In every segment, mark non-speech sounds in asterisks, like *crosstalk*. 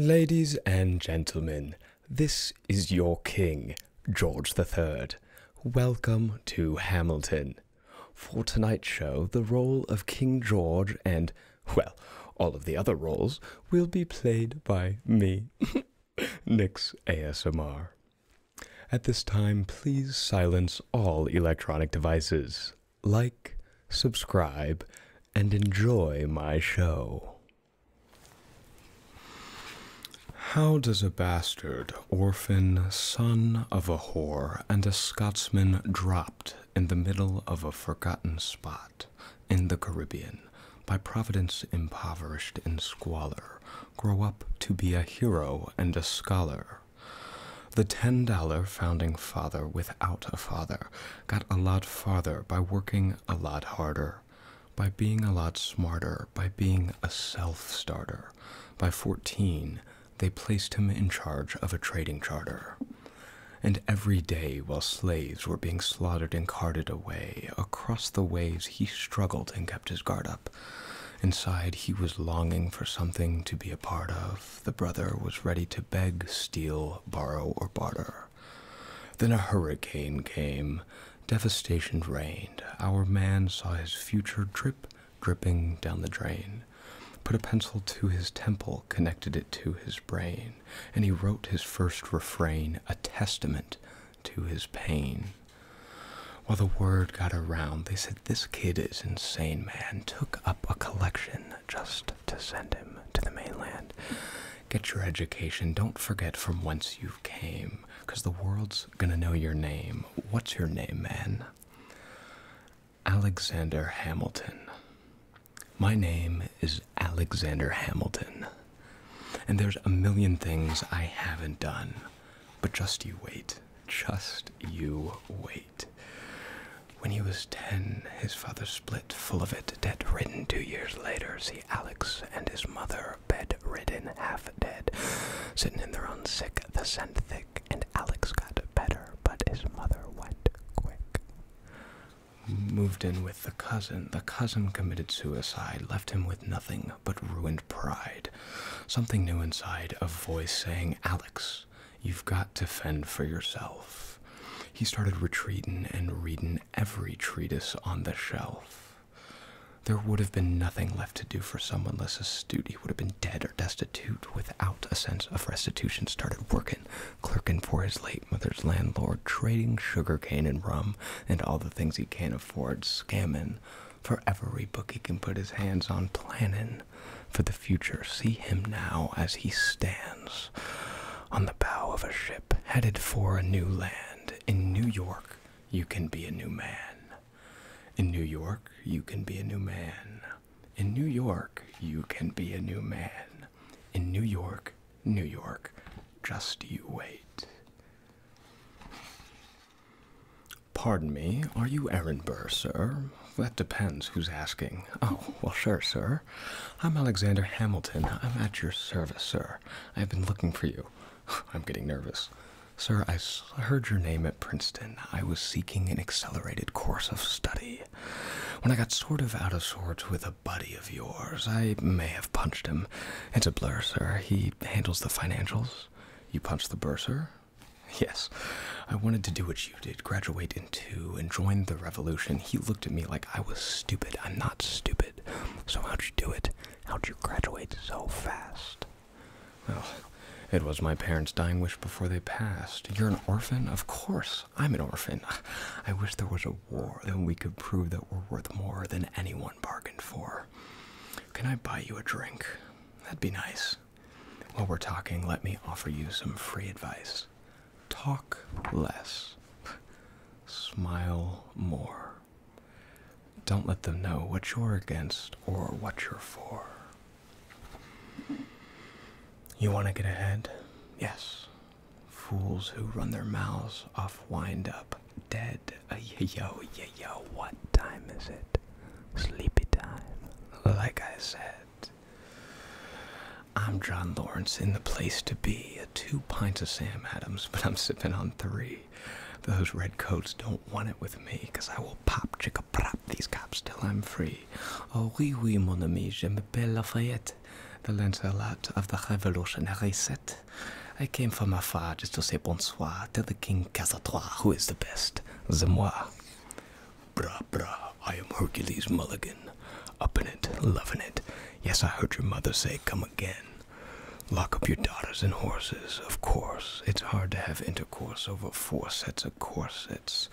Ladies and gentlemen, this is your king, George III. Welcome to Hamilton. For tonight's show, the role of King George and, well, all of the other roles will be played by me, *laughs* Nick's ASMR. At this time, please silence all electronic devices. Like, subscribe, and enjoy my show. How does a bastard, orphan, son of a whore, and a Scotsman dropped in the middle of a forgotten spot in the Caribbean, by Providence impoverished in squalor, grow up to be a hero and a scholar? The $10 founding father without a father got a lot farther by working a lot harder, by being a lot smarter, by being a self starter. By 14, they placed him in charge of a trading charter. And every day, while slaves were being slaughtered and carted away, across the waves he struggled and kept his guard up. Inside, he was longing for something to be a part of. The brother was ready to beg, steal, borrow, or barter. Then a hurricane came. Devastation reigned. Our man saw his future drip dripping down the drain. Put a pencil to his temple, connected it to his brain, and he wrote his first refrain, a testament to his pain. While the word got around, they said, This kid is insane, man. Took up a collection just to send him to the mainland. Get your education. Don't forget from whence you came, 'cause the world's gonna know your name. What's your name, man? Alexander Hamilton. My name is Alexander Hamilton. And there's a million things I haven't done, but just you wait. Just you wait. When he was 10, his father split full of it, dead ridden two years later. See, Alex and his mother, bedridden, half dead, sitting in their own sick, the scent thick, and Alex got better, but his mother went quick. Moved in with the cousin. The cousin committed suicide, left him with nothing but ruined pride. Something new inside, a voice saying, Alex, you've got to fend for yourself. He started retreating and reading every treatise on the shelf. There would have been nothing left to do for someone less astute. He would have been dead or destitute without a sense of restitution. Started working, clerking for his late mother's landlord, trading sugar cane and rum and all the things he can't afford, scammin'. for every book he can put his hands on, planning for the future. See him now as he stands on the bow of a ship headed for a new land. In New York, you can be a new man. In New York, you can be a new man. In New York, you can be a new man. In New York, New York, just you wait. Pardon me, are you Aaron Burr, sir? That depends who's asking. Oh, well, sure, sir. I'm Alexander Hamilton. I'm at your service, sir. I have been looking for you. *sighs* I'm getting nervous. Sir, I heard your name at Princeton. I was seeking an accelerated course of study. When I got sort of out of sorts with a buddy of yours, I may have punched him. It's a blur, sir. He handles the financials. You punched the bursar? Yes. I wanted to do what you did, graduate in two, and join the revolution. He looked at me like I was stupid. I'm not stupid. So how'd you do it? How'd you graduate so fast? Well, it was my parents' dying wish before they passed. You're an orphan? Of course, I'm an orphan. *laughs* I wish there was a war, then we could prove that we're worth more than anyone bargained for. Can I buy you a drink? That'd be nice. While we're talking, let me offer you some free advice. Talk less, smile more. Don't let them know what you're against or what you're for. You want to get ahead? Yes. Fools who run their mouths off wind up dead. Uh, *laughs* yo, yo, yo, what time is it? Sleepy time. Like I said, I'm John Lawrence in the place to be two pints of Sam Adams, but I'm sipping on three. Those redcoats don't want it with me, 'cause I will pop chicka prop these cops till I'm free. Oh oui oui mon ami, je m'appelle Lafayette, the Lancelot of the Revolutionary Set. I came from afar just to say bonsoir to the King Casatrois, who is the best, the moi. Bra brah, I am Hercules Mulligan, up in it, loving it. Yes, I heard your mother say come again. Lock up your daughters and horses, of course. It's hard to have intercourse over four sets of corsets.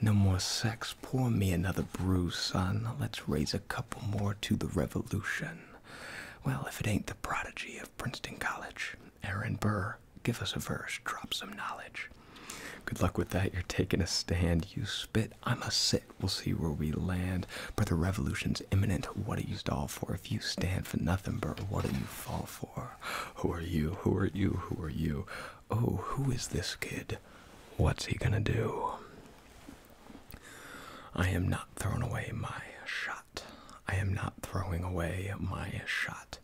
No more sex. Pour me another brew, son. Let's raise a couple more to the revolution. Well, if it ain't the prodigy of Princeton College, Aaron Burr, give us a verse, drop some knowledge. Good luck with that. You're taking a stand. You spit. I'm a sit. We'll see where we land. But the revolution's imminent. What are you stall for? If you stand for nothing, bro, what do you fall for? Who are you? Who are you? Who are you? Oh, who is this kid? What's he gonna do? I am not throwing away my shot. I am not throwing away my shot.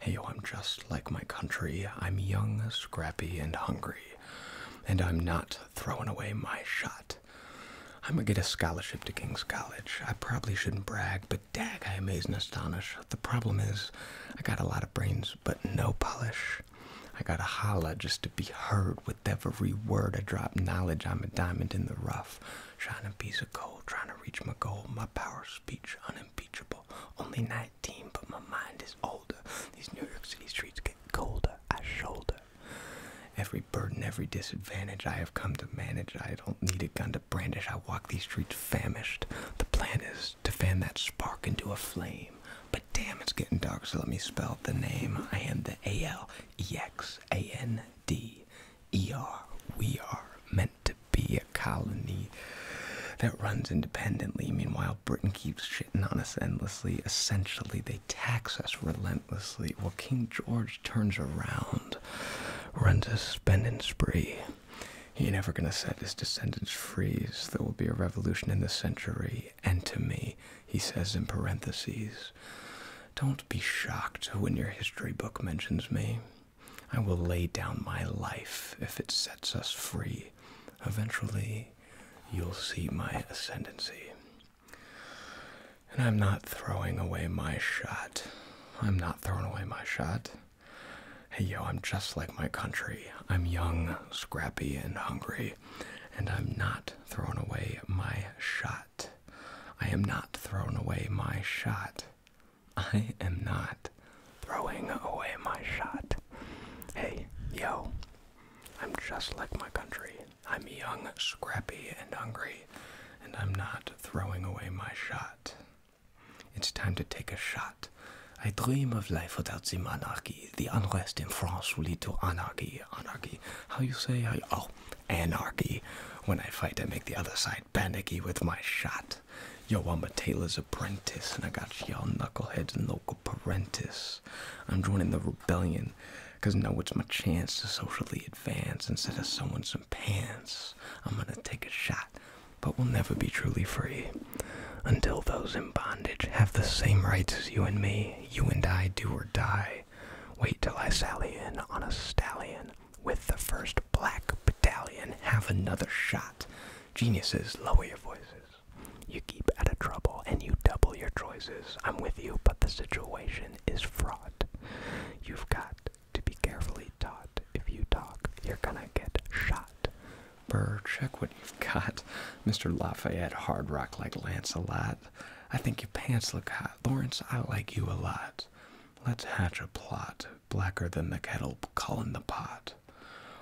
Hey, I'm just like my country. I'm young, scrappy, and hungry. And I'm not throwing away my shot. I'm gonna get a scholarship to King's College. I probably shouldn't brag, but dag, I amaze and astonish. The problem is, I got a lot of brains, but no polish. I gotta holla just to be heard with every word I drop. Knowledge, I'm a diamond in the rough, shining piece of gold, trying to reach my goal. My power speech, unimpeachable. Only 19, but my mind is older. These New York City streets get colder. as shoulder Every burden, every disadvantage I have come to manage. I don't need a gun to brandish. I walk these streets famished. The plan is to fan that spark into a flame. But damn, it's getting dark, so let me spell the name. I am the A L E X A N D E R. We are meant to be a colony that runs independently. Meanwhile, Britain keeps shitting on endlessly. Essentially, they tax us relentlessly. Well, King George turns around, runs a spending spree. He never gonna set his descendants free. There will be a revolution in the century. And to me, he says in parentheses, don't be shocked when your history book mentions me. I will lay down my life if it sets us free. Eventually, you'll see my ascendancy. And I'm not throwing away my shot. I'm not throwing away my shot. Hey, yo, I'm just like my country. I'm young, scrappy, and hungry. And I'm not throwing away my shot. I am not throwing away my shot. I am not throwing away my shot. Hey, yo, I'm just like my country. I'm young, scrappy, and hungry, and I'm not throwing away my shot. It's time to take a shot. I dream of life without the monarchy. The unrest in France will lead to anarchy. Anarchy. How you say? How oh, anarchy. When I fight, I make the other side panicky with my shot. Yo, I'm a tailor's apprentice, and I got y'all knuckleheads and local parentis. I'm joining the rebellion. Because now it's my chance to socially advance instead of someone some pants. I'm gonna take a shot, but we'll never be truly free until those in bondage have the same rights as you and me. You and I do or die. Wait till I sally in on a stallion with the first black battalion. Have another shot. Geniuses, lower your voices. You keep out of trouble and you double your choices. I'm with you, but the situation is fraud. You've got to be carefully taught. If you talk, you're gonna get shot. Burr, check what you've got. Mr. Lafayette, hard rock like Lancelot. I think your pants look hot. Lawrence, I like you a lot. Let's hatch a plot, blacker than the kettle in the pot.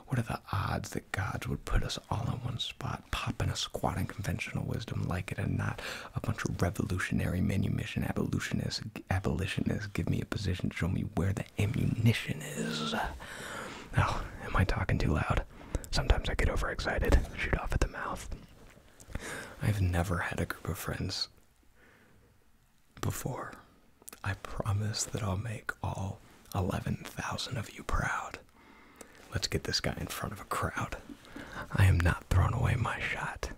What are the odds that gods would put us all in one spot, popping a squatting conventional wisdom, like it or not? a bunch of revolutionary manumission abolitionists abolitionists give me a position to show me where the ammunition is. Oh, am I talking too loud? Sometimes I get overexcited, shoot off at the mouth. I've never had a group of friends before. I promise that I'll make all 11,000 of you proud. Let's get this guy in front of a crowd. I am not throwing away my shot.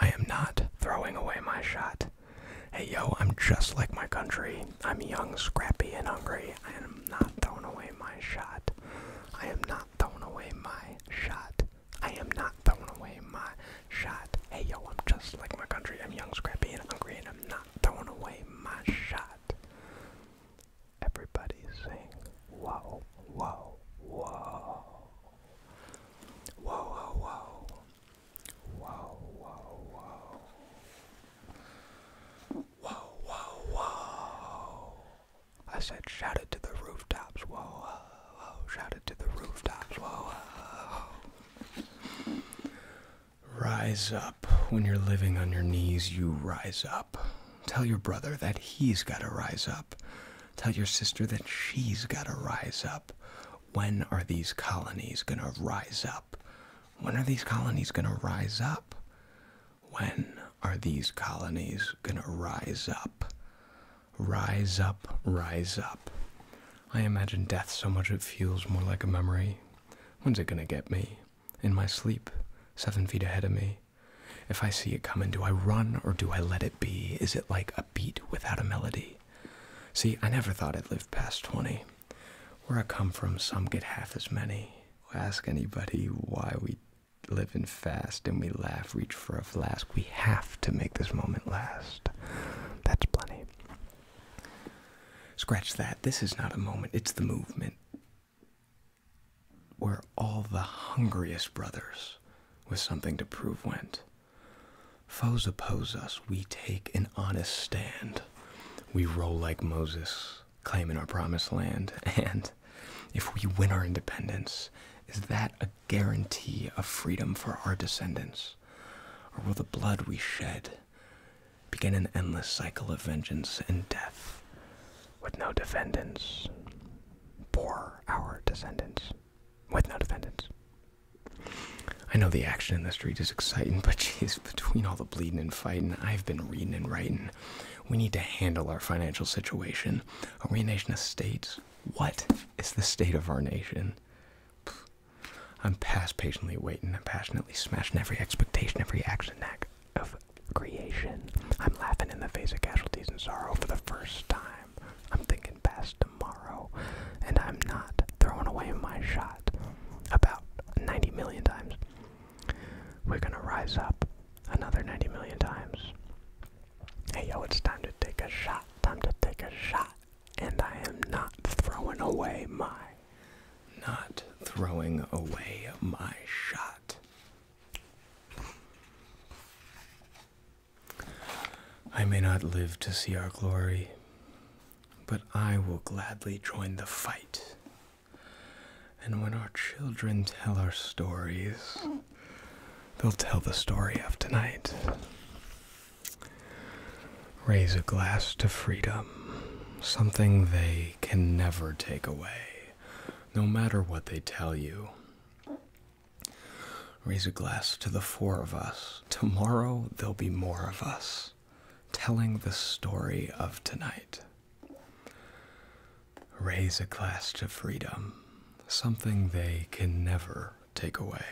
I am not throwing away my shot. Hey yo, I'm just like my country. I'm young, scrappy, and hungry. I am not throwing away my shot. I am not throwing away my shot. I am not throwing away my shot. Hey yo, I'm just like my country. I'm young, scrappy, and hungry, and I'm not throwing away my shot. Everybody saying wow, wow, wow. Wow, wow, wow. Wow, wow, wow. Wow, wow, wow. I said shout it to the rooftops. Whoa, whoa, whoa. Shout it to the rooftops. Whoa, whoa, whoa. Rise up. When you're living on your knees, you rise up. Tell your brother that he's got to rise up. Tell your sister that she's got to rise up. When are these colonies going to rise up? When are these colonies going to rise up? When are these colonies going to rise up? Rise up, rise up. I imagine death so much it feels more like a memory. When's it going to get me? In my sleep, seven feet ahead of me. If I see it coming, do I run or do I let it be? Is it like a beat without a melody? See, I never thought I'd live past 20. Where I come from, some get half as many. Ask anybody why we live living fast and we laugh, reach for a flask. We have to make this moment last. That's plenty. Scratch that. This is not a moment, it's the movement where all the hungriest brothers with something to prove went. Foes oppose us, we take an honest stand. We roll like Moses, claiming our promised land. *laughs* And if we win our independence, is that a guarantee of freedom for our descendants? Or will the blood we shed begin an endless cycle of vengeance and death with no defendants? for our descendants with no defendants. I know the action in the street is exciting, *laughs* but geez, between all the bleeding and fighting, I've been reading and writing. We need to handle our financial situation. Are we a nation of states? What is the state of our nation? I'm past patiently waiting I'm passionately smashing every expectation, every action act creation. I'm laughing in the face of casualties and sorrow for the first time. I'm thinking past tomorrow, and I'm not throwing away my shot about 90 million times. We're gonna rise up another 90 million times. Hey yo, it's time to take a shot, time to take a shot, and I am not throwing away my. Not throwing away my shot. I may not live to see our glory, but I will gladly join the fight. And when our children tell our stories, they'll tell the story of tonight. Raise a glass to freedom, something they can never take away, no matter what they tell you. Raise a glass to the four of us. Tomorrow there'll be more of us telling the story of tonight. Raise a glass to freedom, something they can never take away,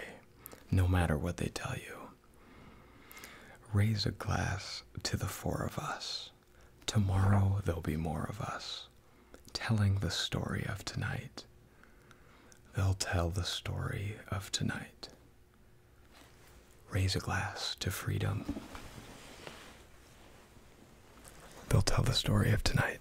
no matter what they tell you. Raise a glass to the four of us. Tomorrow there'll be more of us telling the story of tonight. They'll tell the story of tonight. Raise a glass to freedom. They'll tell the story of tonight.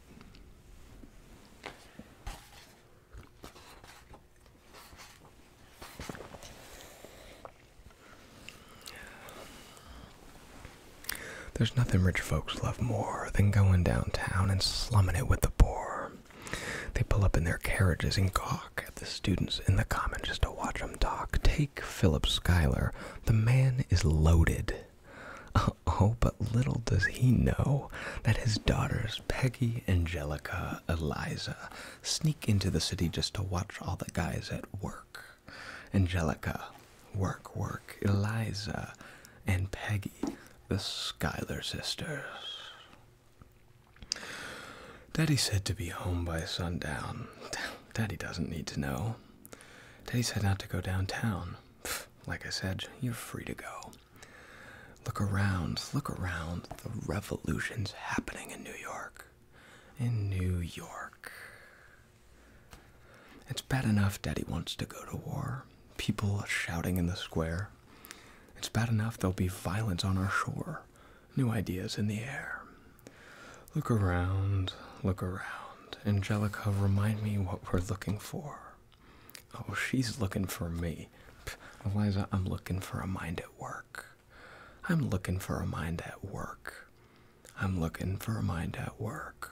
There's nothing rich folks love more than going downtown and slumming it with the poor. They pull up in their carriages and gawk at the students in the common just to watch them talk. Take Philip Schuyler. The man is loaded. *laughs* Oh, but little does he know that his daughters, Peggy, Angelica, Eliza, sneak into the city just to watch all the guys at work. Angelica, Work, work, Eliza and Peggy, the Schuyler sisters. Daddy said to be home by sundown. Daddy doesn't need to know. Daddy said not to go downtown. Like I said, you're free to go. Look around, look around. The revolution's happening in New York. In New York. It's bad enough Daddy wants to go to war, people shouting in the square. It's bad enough there'll be violence on our shore, new ideas in the air. Look around, look around. Angelica, remind me what we're looking for. Oh, she's looking for me. Eliza, I'm looking for a mind at work. I'm looking for a mind at work. I'm looking for a mind at work.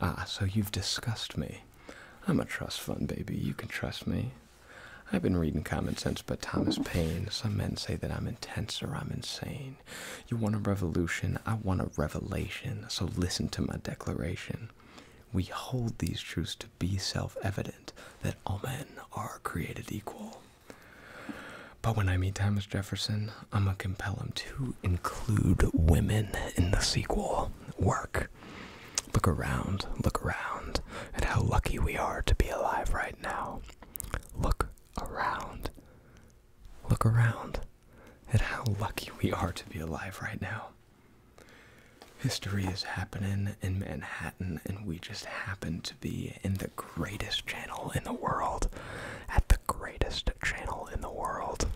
Ah, so you've discussed me. I'm a trust fund baby. You can trust me. I've been reading Common Sense by Thomas Paine. Some men say that I'm intense or I'm insane. You want a revolution? I want a revelation. So listen to my declaration. We hold these truths to be self evident that all men are created equal. But when I meet Thomas Jefferson, I'm gonna compel him to include women in the sequel work. Look around, look around at how lucky we are to be alive right now. Look around, look around at how lucky we are to be alive right now. History is happening in Manhattan, and we just happen to be in the greatest channel in the world at the greatest channel in the world.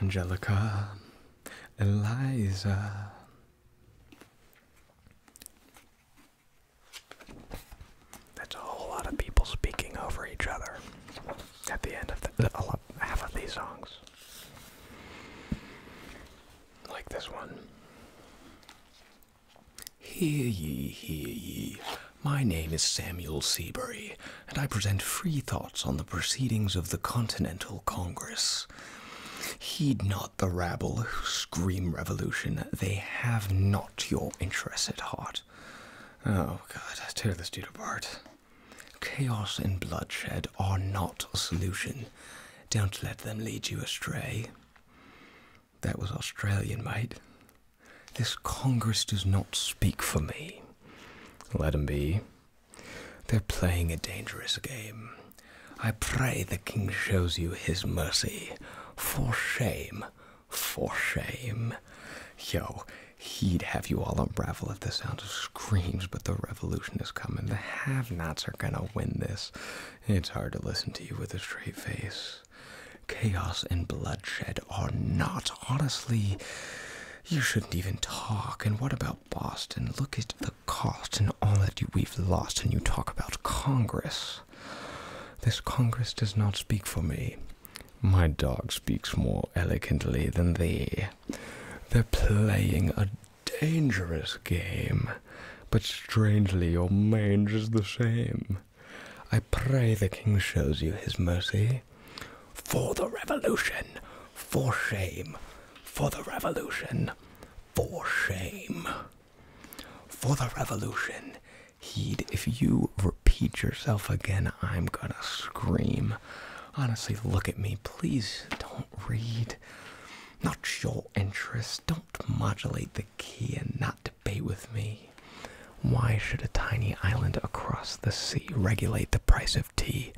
Angelica, Eliza. That's a whole lot of people speaking over each other at the end of half of these songs. Like this one. Hear ye, hear ye. My name is Samuel Seabury, and I present free thoughts on the proceedings of the Continental Congress. Heed not the rabble who scream revolution. They have not your interests at heart. Oh, God, tear this dude apart. Chaos and bloodshed are not a solution. Don't let them lead you astray. That was Australian, mate. This Congress does not speak for me. Let 'em be. They're playing a dangerous game. I pray the king shows you his mercy. For shame, for shame. Yo, he'd have you all unravel at the sound of screams, but the revolution is coming. The have nots are gonna win this. It's hard to listen to you with a straight face. Chaos and bloodshed are not. Honestly, you shouldn't even talk. And what about Boston? Look at the cost and all that we've lost, and you talk about Congress. This Congress does not speak for me. My dog speaks more elegantly than they. They're playing a dangerous game, but strangely, your mange the same. I pray the king shows you his mercy. For the revolution! For shame! For the revolution! For shame! For the revolution! Heed, if you repeat yourself again, I'm gonna scream. Honestly, look at me. Please don't read. Not your interest. Don't modulate the key and not debate with me. Why should a tiny island across the sea regulate the price of tea?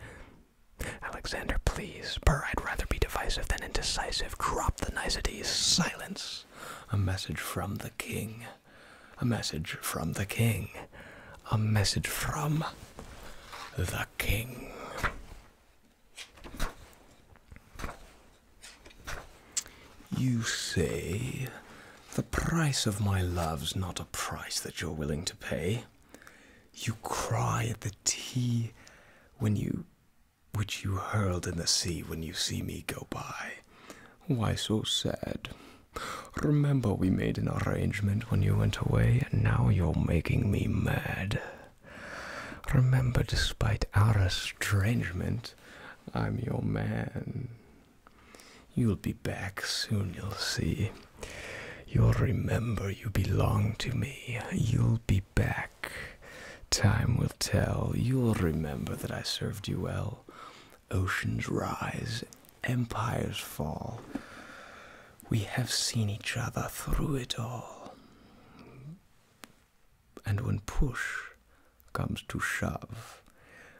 Alexander, please, but I'd rather be divisive than indecisive. Crop the niceties. Silence. A message from the king. A message from the king. A message from the king. You say the price of my love's not a price that you're willing to pay. You cry at the tea when you which you hurled in the sea when you see me go by. Why so sad? Remember we made an arrangement when you went away, and now you're making me mad. Remember, despite our estrangement, I'm your man. You'll be back soon, you'll see. You'll remember you belong to me. You'll be back. Time will tell. You'll remember that I served you well. Oceans rise, empires fall. We have seen each other through it all. And when push comes to shove,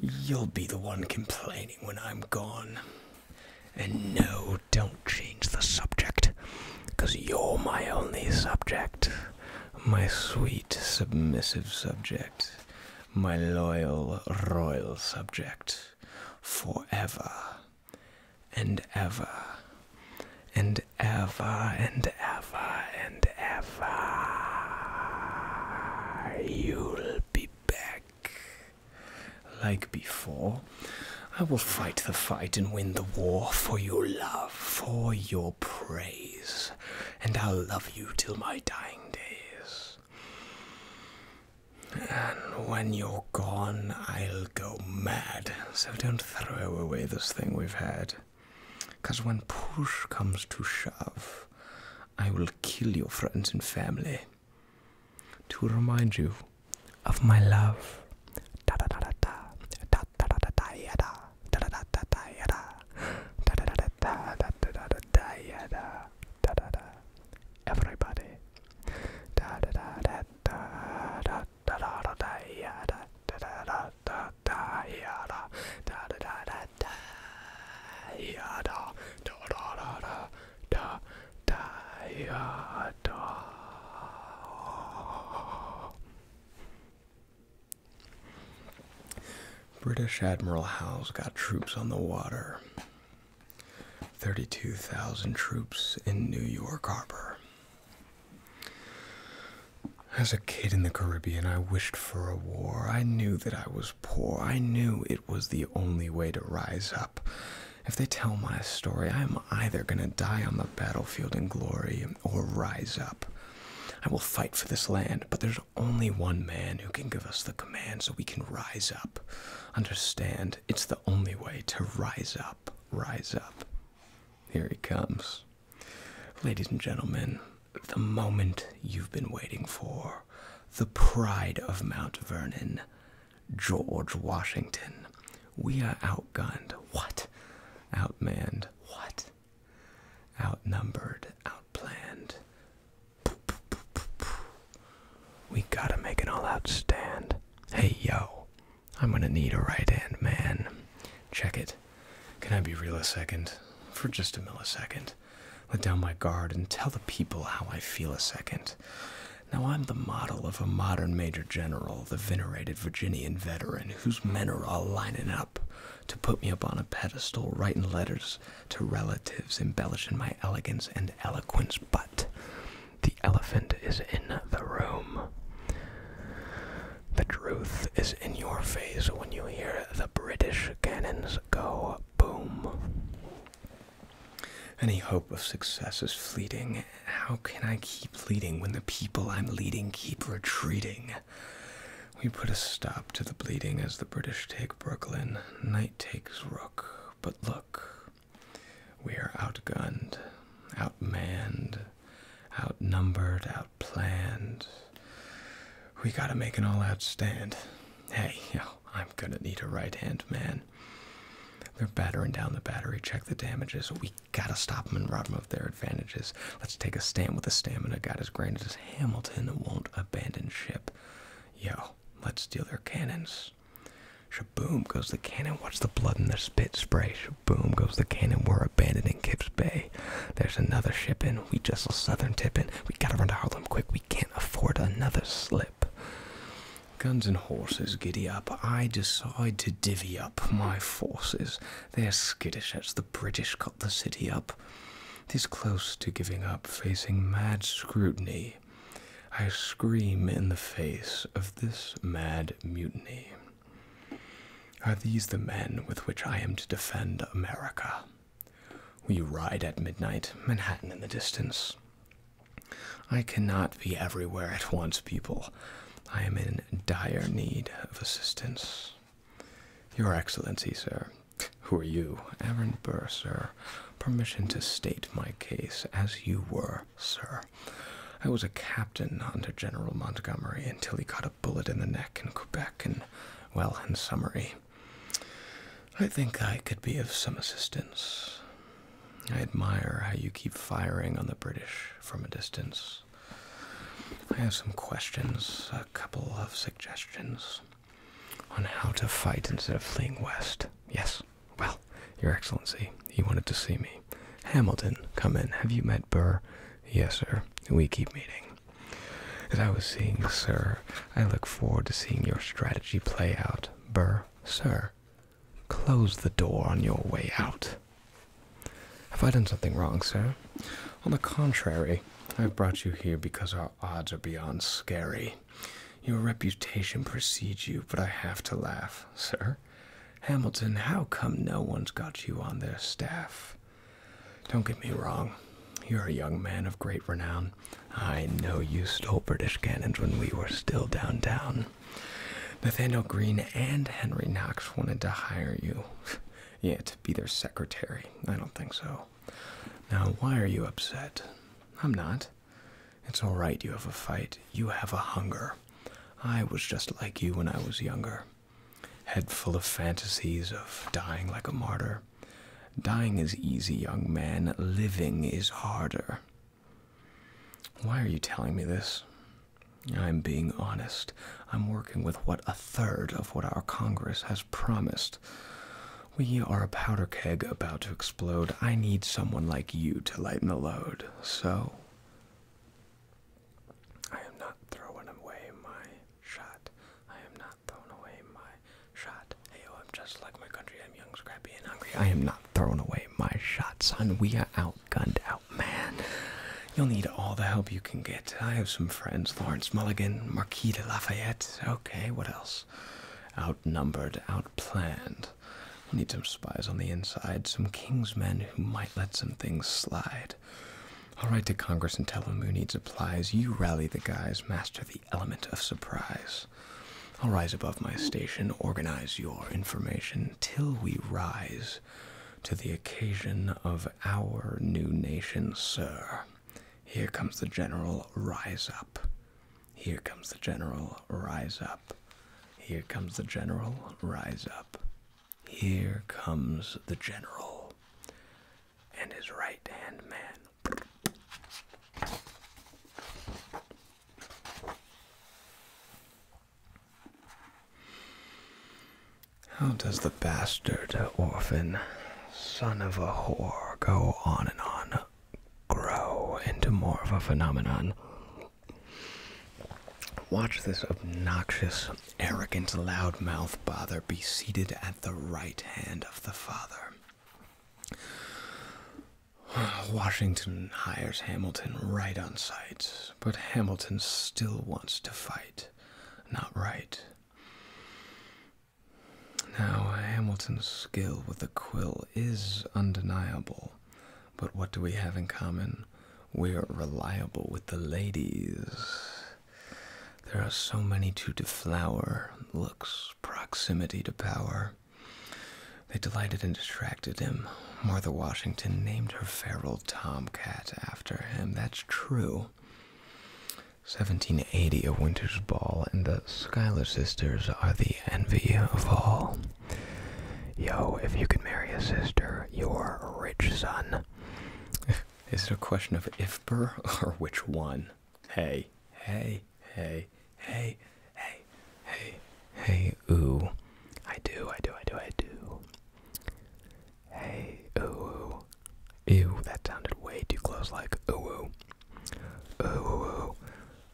You'll be the one complaining when I'm gone. And no, don't change the subject, you're my only subject. My sweet, submissive subject. My loyal, royal subject. Forever and ever and ever and ever and ever. You'll be back. Like before, I will fight the fight and win the war for your love, for your praise, and I'll love you till my dying days. And when you're gone, I'll go mad, so don't throw away this thing we've had. Because when push comes to shove, I will kill your friends and family to remind you of my love. Everybody. Da da da da da da da da da da da da da da da da yada da da da da da yada da da da da da da British Admiral Howe's got troops on the water. 32,000 troops in New York Harbor. As a kid in the Caribbean, I wished for a war. I knew that I was poor. I knew it was the only way to rise up. If they tell my story, I'm either going to die on the battlefield in glory or rise up. I will fight for this land, but there's only one man who can give us the command so we can rise up. Understand, it's the only way to rise up. Rise up. Here he comes. Ladies and gentlemen, the moment you've been waiting for, the pride of Mount Vernon, George Washington. We are outgunned. What? Outmanned. What? Outnumbered. Outplanned. We gotta make an all out stand. Hey, yo, I'm gonna need a right hand man. Check it. Can I be real a second? For just a millisecond. Let down my guard and tell the people how I feel a second. Now I'm the model of a modern major general, the venerated Virginian veteran, whose men are all lining up to put me up on a pedestal, writing letters to relatives, embellishing my elegance and eloquence, but the elephant is in the room. The truth is in your face when you hear the British cannons go boom. Any hope of success is fleeting. How can I keep fleeting when the people I'm leading keep retreating? We put a stop to the bleeding as the British take Brooklyn. Knight takes Rook. But look, we are outgunned, outmanned, outnumbered, outplanned. We gotta make an all out stand. Hey, yo, I'm gonna need a right hand man. They're battering down the battery. Check the damages. We gotta stop them and rob them of their advantages. Let's take a stand with the stamina God has granted us. Hamilton and won't abandon ship. Yo, let's steal their cannons. Shaboom goes the cannon. Watch the blood and the spit spray. Shaboom goes the cannon. We're abandoning Gibbs Bay. There's another ship in. We just saw Southern in. We gotta run to Harlem quick. We can't afford another slip. Guns and horses, giddy up. I decide to divvy up my forces. They're skittish as the British cut the city up. Tis close to giving up, facing mad scrutiny. I scream in the face of this mad mutiny. Are these the men with which I am to defend America? We ride at midnight, Manhattan in the distance. I cannot be everywhere at once, people. I am in dire need of assistance. Your Excellency, sir. Who are you? Aaron Burr, sir. Permission to state my case as you were, sir. I was a captain under General Montgomery until he got a bullet in the neck in Quebec and, well, in summary, I think I could be of some assistance. I admire how you keep firing on the British from a distance. I have some questions, a couple of suggestions on how to fight instead of fleeing west. Yes, well, Your Excellency, he wanted to see me. Hamilton, come in. Have you met Burr? Yes, sir. We keep meeting. As I was saying, sir, I look forward to seeing your strategy play out, Burr. Sir, close the door on your way out. Have I done something wrong, sir? On the contrary, I've brought you here because our odds are beyond scary. Your reputation precedes you, but I have to laugh, sir. Hamilton, how come no one's got you on their staff? Don't get me wrong, you're a young man of great renown. I know you stole British cannons when we were still downtown. Nathaniel Greene and Henry Knox wanted to hire you. *laughs* yeah, to be their secretary. I don't think so. Now, why are you upset? I'm not. It's all right, you have a fight. You have a hunger. I was just like you when I was younger. Head full of fantasies of dying like a martyr. Dying is easy, young man. Living is harder. Why are you telling me this? I'm being honest. I'm working with what a third of what our Congress has promised. We are a powder keg about to explode. I need someone like you to lighten the load. So, I am not throwing away my shot. I am not not throwing away my shot. Hey, I'm just like my country. I'm young, scrappy, and hungry. I am not throwing away my shot, son. We are outgunned, outmanned. You'll need all the help you can get. I have some friends Lawrence Mulligan, Marquis de Lafayette. Okay, what else? Outnumbered, outplanned. we need some spies on the inside, some king's men who might let some things slide. I'll write to Congress and tell them who needs supplies. You rally the guys, master the element of surprise. I'll rise above my station, organize your information till we rise to the occasion of our new nation, sir. Here comes the general, rise up. Here comes the general, rise up. Here comes the general, rise up. Here comes the general and his right hand man. How does the bastard orphan, son of a whore, go on and on, grow into more of a phenomenon? Watch this obnoxious, arrogant loudmouth bother be seated at the right hand of the Father. *sighs* Washington hires Hamilton right on sight, but Hamilton still wants to fight, not right. Now, Hamilton's skill with the quill is undeniable, but what do we have in common? We're reliable with the ladies. There are so many to deflower looks, proximity to power. They delighted and distracted him. Martha Washington named her feral tomcat after him. That's true. 1780, A Winter's Ball, and the Schuyler sisters are the envy of all. Yo, if you can marry a sister, you're rich son. *laughs* Is it a question of if or which one? Hey, hey, hey, hey, hey, hey, hey, ooh. I do, I do, I do, I do. Hey, ooh. Ew, that sounded way too close, like ooh. Ooh,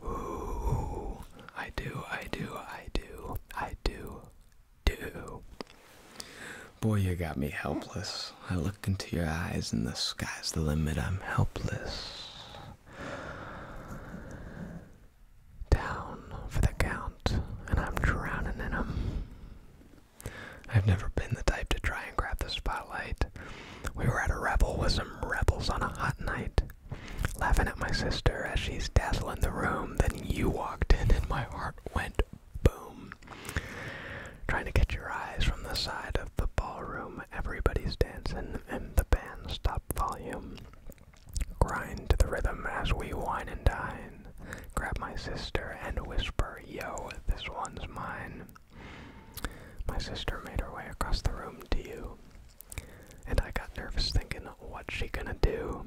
ooh, ooh. I do, I do, I do, I do, do. Boy, you got me helpless. I look into your eyes and the sky's the limit. I'm helpless. Down for the count, and I'm drowning in I've never been the type to try and grab the spotlight. We were at a revel with some rebels on a hot night, laughing at my sister as she's dazzling the room. Then you walked in, and my heart went boom trying to get your eyes from the side of the ballroom. Everybody's dancing, and the band stop volume. Grind to the rhythm as we wine and dine. Grab my sister and whisper, Yo, this one's mine. My sister made her way across the room to you. And I got nervous thinking, what's she gonna do?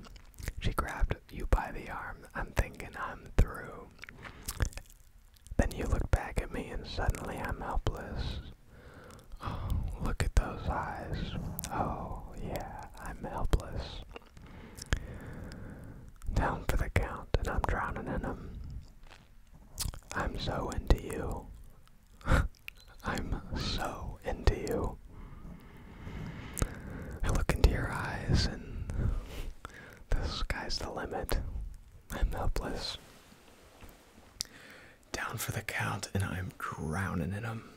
She grabbed you by the arm. I'm thinking I'm through. Then you look back at me and suddenly I'm helpless. Oh, *gasps* look at those eyes. Oh, yeah, I'm helpless. Down for the count, and I'm drowning in them. I'm so into you. *laughs* I'm so into you. I look into your eyes, and the sky's the limit. I'm helpless. Down for the count, and I'm drowning in them.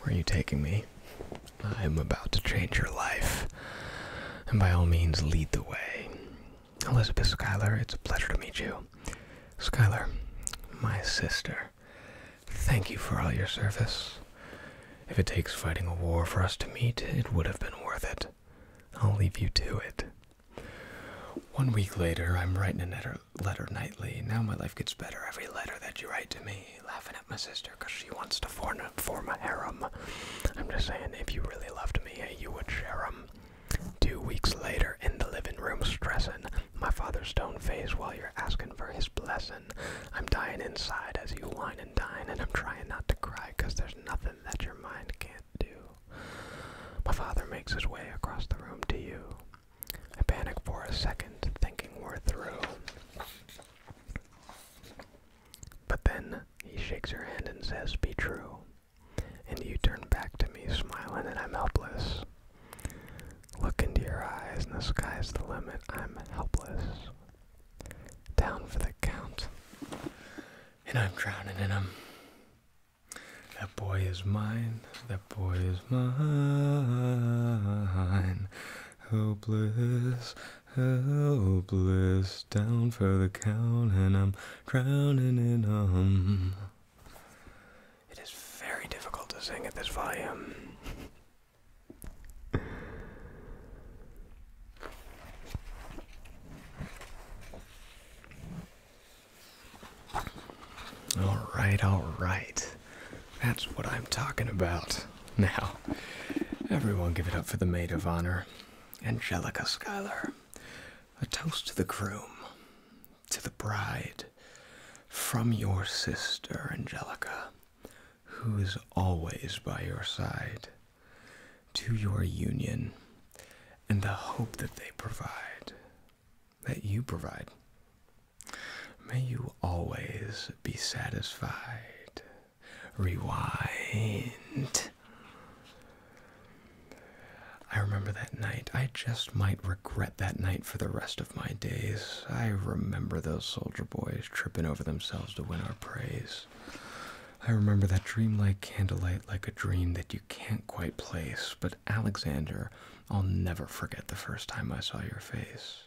Where are you taking me? I'm about to change your life, and by all means, lead the way. Elizabeth Schuyler, it's a pleasure to meet you. Schuyler, my sister, thank you for all your service. If it takes fighting a war for us to meet, it would have been worth it. I'll leave you to it. One week later, I'm writing a letter nightly. Now my life gets better every letter that you write to me. Laughing at my sister because she wants to form a, harem. I'm just saying, if you really loved me, you would share 'em. Two weeks later, in the living room, stressing my father's stone face while you're asking for his blessing. I'm dying inside as you whine and dine, and I'm trying not to cry because there's nothing that your mind can't do. My father makes his way across the room to you. I panic for a second, thinking we're through. But then he shakes your hand and says, Be true. And you turn back to me, smiling, and I'm helpless. Look into your eyes, and the sky's the limit. I'm helpless. Down for the count and I'm drowning in him. That boy is mine, that boy is mine. Hopeless, oh, hopeless, oh, down for the count, and I'm drowning in him. It is very difficult to sing at this volume. All right, all right. That's what I'm talking about. Now, everyone give it up for the maid of honor, Angelica Schuyler. A toast to the groom, to the bride, from your sister, Angelica, who is always by your side to your union and the hope that they provide, that you provide. May you always be satisfied. Rewind. I remember that night. I just might regret that night for the rest of my days. I remember those soldier boys tripping over themselves to win our praise. I remember that dreamlike candlelight like a dream that you can't quite place, but Alexander, I'll never forget the first time I saw your face.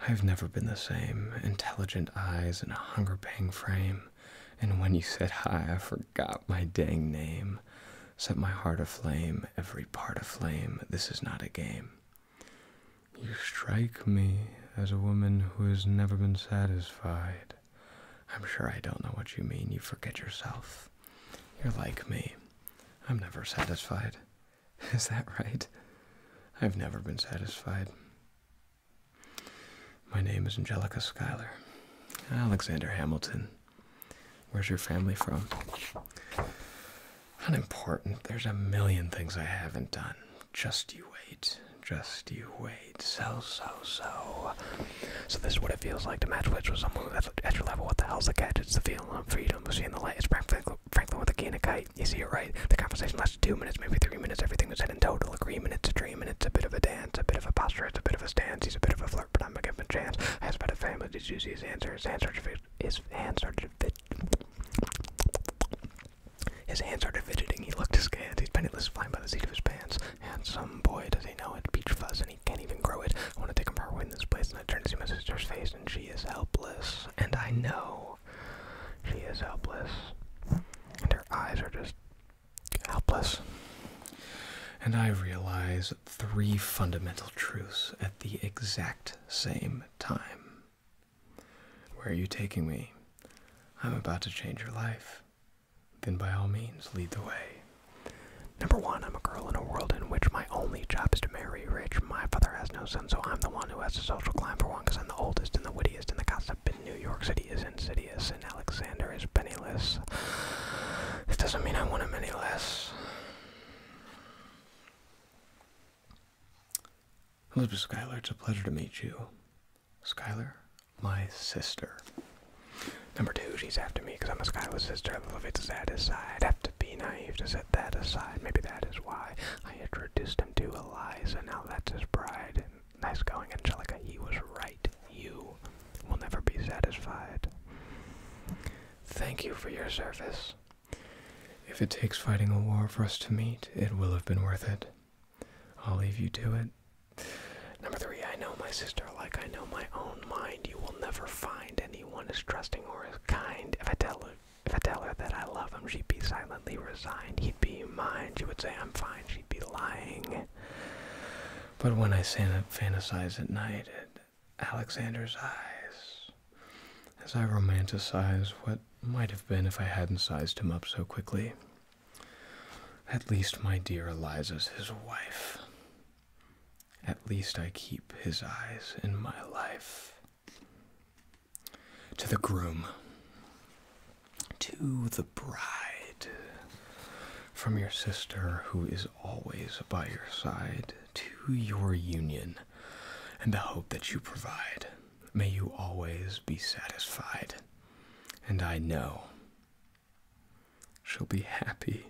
I have never been the same. Intelligent eyes and a hunger pang frame. And when you said hi, I forgot my dang name. Set my heart aflame, every part aflame. This is not a game. You strike me as a woman who has never been satisfied. I'm sure I don't know what you mean. You forget yourself. You're like me. I'm never satisfied. *laughs* Is that right? I've never been satisfied. My name is Angelica Schuyler. Alexander Hamilton. Where's your family from? Unimportant. There's a million things I haven't done. Just you wait. Just you wait. So, so, so. So this is what it feels like to match wits with someone that's at your level. What the hell's the catch? It's the feeling of freedom of seeing the light. It's Franklin, Franklin with a key and a kite. You see it right. The conversation lasts two minutes, maybe three minutes. Everything was said in total agreement. It's a dream and it's a bit of a dance, a bit of a posture, it's a bit of a stance. He's a bit of a flirt, but I'm gonna give him a chance. I asked about a family. Did you see his answer? His answer started to fit. His answer started to fit. His hands are fidgeting. He looked askance. He's penniless, flying by the seat of his pants. Handsome boy, does he know it? Beach fuzz, and he can't even grow it. I want to take him far away in this place, and I turn to see my sister's face, and she is helpless. And I know she is helpless. And her eyes are just helpless. And I realize three fundamental truths at the exact same time. Where are you taking me? I'm about to change your life then by all means lead the way. Number one, I'm a girl in a world in which my only job is to marry rich. My father has no son, so I'm the one who has a social climb for one, because I'm the oldest and the wittiest, and the gossip in New York City is insidious, and Alexander is penniless. This doesn't mean I want him any less. Elizabeth Schuyler, it's a pleasure to meet you. Skylar, my sister. Number two, she's after me because I'm a Skylar sister. I love it to that side. Have to be naive to set that aside. Maybe that is why I introduced him to Eliza. Now that's his bride. Nice going, Angelica. He was right. You will never be satisfied. Thank you for your service. If it takes fighting a war for us to meet, it will have been worth it. I'll leave you to it. Number three, I know my sister like I know my own mind. You will never find anyone as trusting or as kind. If I tell her, that I love him, she'd be silently resigned. He'd be mine. She would say I'm fine. She'd be lying. But when I fantasize at night at Alexander's eyes, as I romanticize what might have been if I hadn't sized him up so quickly, at least my dear Eliza's his wife. At least I keep his eyes in my life. To the groom, to the bride, from your sister who is always by your side, to your union and the hope that you provide, may you always be satisfied and I know she'll be happy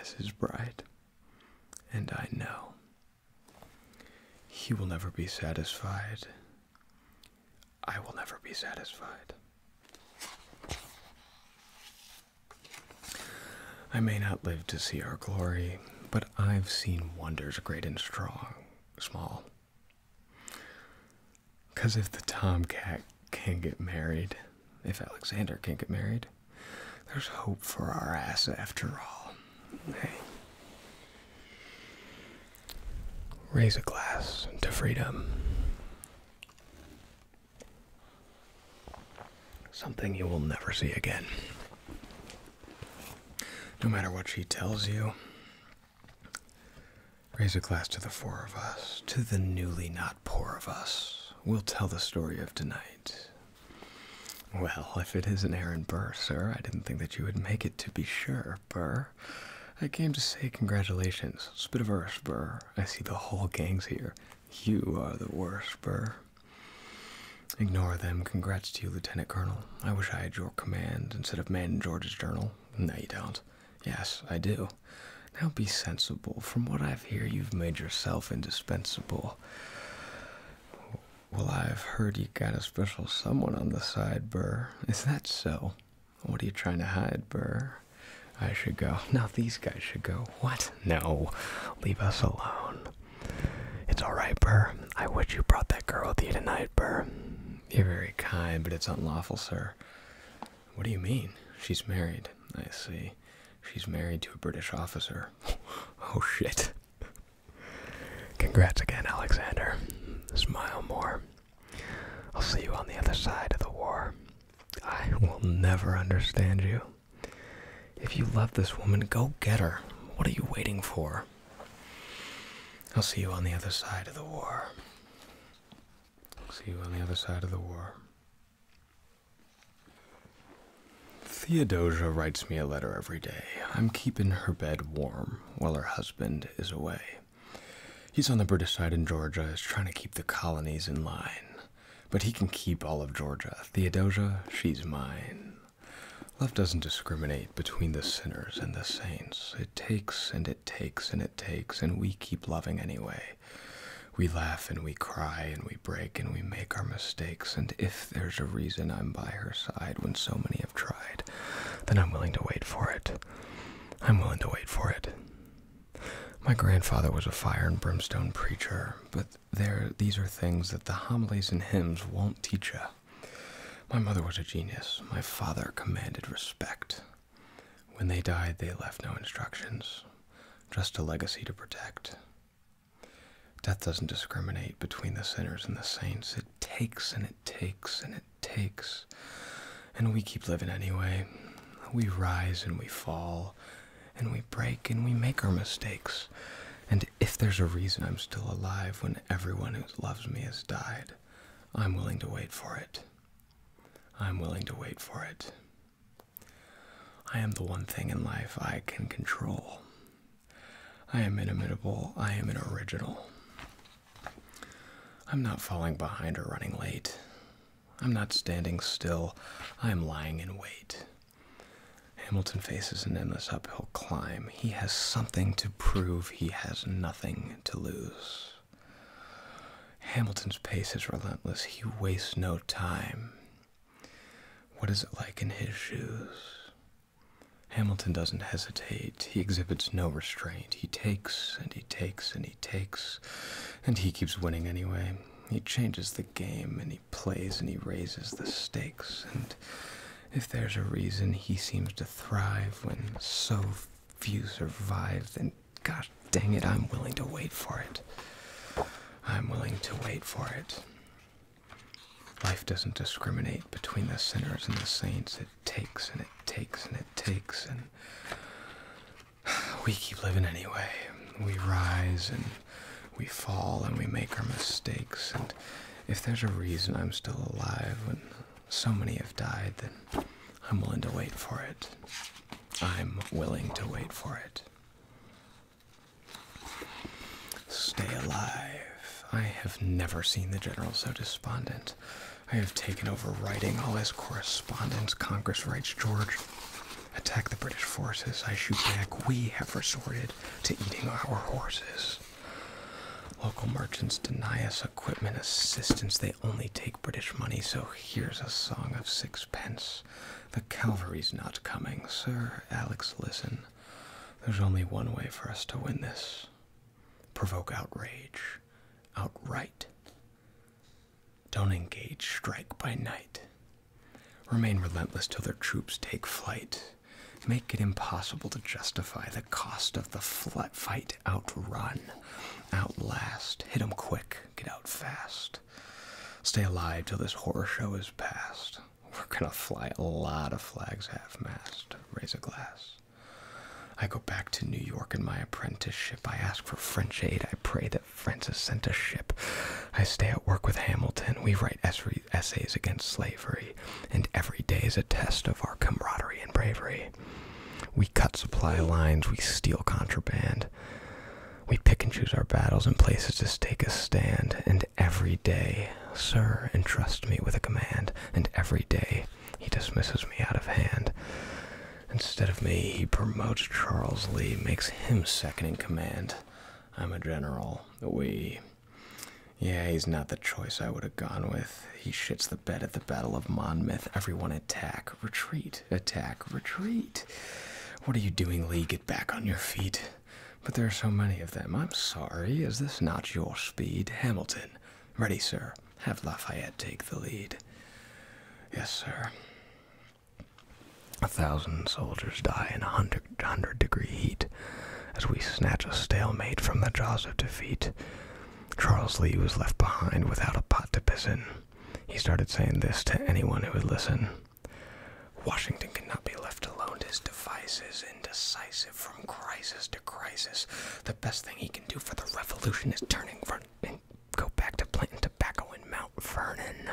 as his bride, and I know he will never be satisfied. I will never be satisfied. I may not live to see our glory, but I've seen wonders great and strong, small, because if the Tomcat can not get married, if Alexander can not get married, there's hope for our ass after all. Raise a glass to freedom. Something you will never see again. No matter what she tells you, Raise a glass to the four of us, to the newly not poor of us. We'll tell the story of tonight. Well, if it isn't Aaron Burr, sir, I didn't think that you would make it to be sure, Burr. I came to say congratulations. Spitiverse, Burr. I see the whole gang's here. You are the worst, Burr. Ignore them. Congrats to you, Lieutenant Colonel. I wish I had your command instead of Man George's journal. No, you don't. Yes, I do. Now be sensible. From what I've hear, you've made yourself indispensable. Well, I've heard you got a special someone on the side, Burr. Is that so? What are you trying to hide, Burr? I should go. *laughs* Now these guys should go. What? No. Leave us alone. It's alright, Burr. I wish you brought that girl with you tonight, Burr. You're very kind, but it's unlawful, sir. What do you mean? She's married. I see. She's married to a British officer. *laughs* oh shit. Congrats again, Alexander. Smile more. I'll see you on the other side of the war. I will never understand you. If you love this woman, go get her. What are you waiting for? I'll see you on the other side of the war. See you on the other side of the war. Theodosia writes me a letter every day. I'm keeping her bed warm while her husband is away. He's on the British side in Georgia, is trying to keep the colonies in line. But he can keep all of Georgia. Theodosia, she's mine. Love doesn't discriminate between the sinners and the saints. It takes and it takes and it takes, and we keep loving anyway. We laugh and we cry and we break and we make our mistakes, and if there's a reason I'm by her side when so many have tried, then I'm willing to wait for it. I'm willing to wait for it. My grandfather was a fire and brimstone preacher, but there these are things that the homilies and hymns won't teach you. My mother was a genius. My father commanded respect. When they died, they left no instructions, just a legacy to protect. Death doesn't discriminate between the sinners and the saints. It takes and it takes and it takes. And we keep living anyway. We rise and we fall, and we break and we make our mistakes. And if there's a reason I'm still alive when everyone who loves me has died, I'm willing to wait for it. I'm willing to wait for it. I am the one thing in life I can control. I am inimitable. I am an original. I'm not falling behind or running late. I'm not standing still. I am lying in wait. Hamilton faces an endless uphill climb. He has something to prove. He has nothing to lose. Hamilton's pace is relentless. He wastes no time. What is it like in his shoes? Hamilton doesn't hesitate. He exhibits no restraint. He takes and he takes and he takes, and he keeps winning anyway. He changes the game and he plays and he raises the stakes. And if there's a reason he seems to thrive when so few survive, then Gosh dang it, I'm willing to wait for it. I'm willing to wait for it. Life doesn't discriminate between the sinners and the saints. It takes and it takes and it takes, and *sighs* we keep living anyway. We rise and we fall and we make our mistakes. And if there's a reason I'm still alive when so many have died, then I'm willing to wait for it. I'm willing to wait for it. Stay alive. I have never seen the general so despondent. I have taken over writing all his correspondence. Congress writes George, attack the British forces. I shoot back. We have resorted to eating our horses. Local merchants deny us equipment assistance. They only take. British money, so here's a song of sixpence. The cavalry's not coming, sir. Alex, listen. There's only one way for us to win this provoke outrage, outright. Don't engage, strike by night. Remain relentless till their troops take flight. Make it impossible to justify the cost of the fight. Outrun, outlast, hit 'em quick. Get out fast. Stay alive till this horror show is past. We're gonna fly a lot of flags half mast. Raise a glass. I go back to New York in my apprenticeship. I ask for French aid. I pray that France is sent a ship. I stay at work with Hamilton. We write essays against slavery. And every day is a test of our camaraderie and bravery. We cut supply lines, we steal contraband, we pick and choose our battles and places to stake a stand, and every day, sir, entrust me with a command, and every day he dismisses me out of hand. Instead of me, he promotes Charles Lee, makes him second in command. I'm a general. We. Yeah, he's not the choice I would have gone with. He shits the the at the Battle of Monmouth. Everyone attack, retreat, attack, retreat. What are you doing, Lee? Get back on your feet. But there are so many of them. I'm sorry. Is this not your speed? Hamilton. Ready, sir. Have Lafayette take the lead. Yes, sir. A thousand soldiers die in a 100 degree heat as we snatch a stalemate from the jaws of defeat. Charles Lee was left behind without a pot to piss in. He started saying this to anyone who would listen. Washington cannot be left alone His device is indecisive from crisis to crisis. The best thing he can do for the revolution is turn and go back to planting tobacco in Mount Vernon.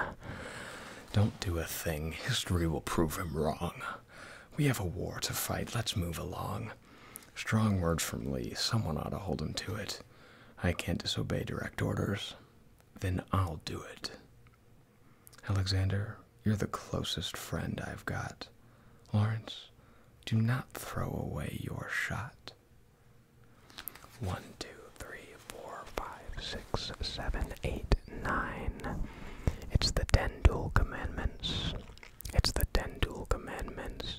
Don't do a thing. History will prove him wrong. We have a war to fight. Let's move along. Strong words from Lee. Someone ought to hold him to it. I can't disobey direct orders, then I'll do it. Alexander, you're the closest friend I've got. Lawrence, do not throw away your shot. One, two, three, four, five, six, seven, eight, nine. It's the ten dual commandments. It's the ten dual commandments.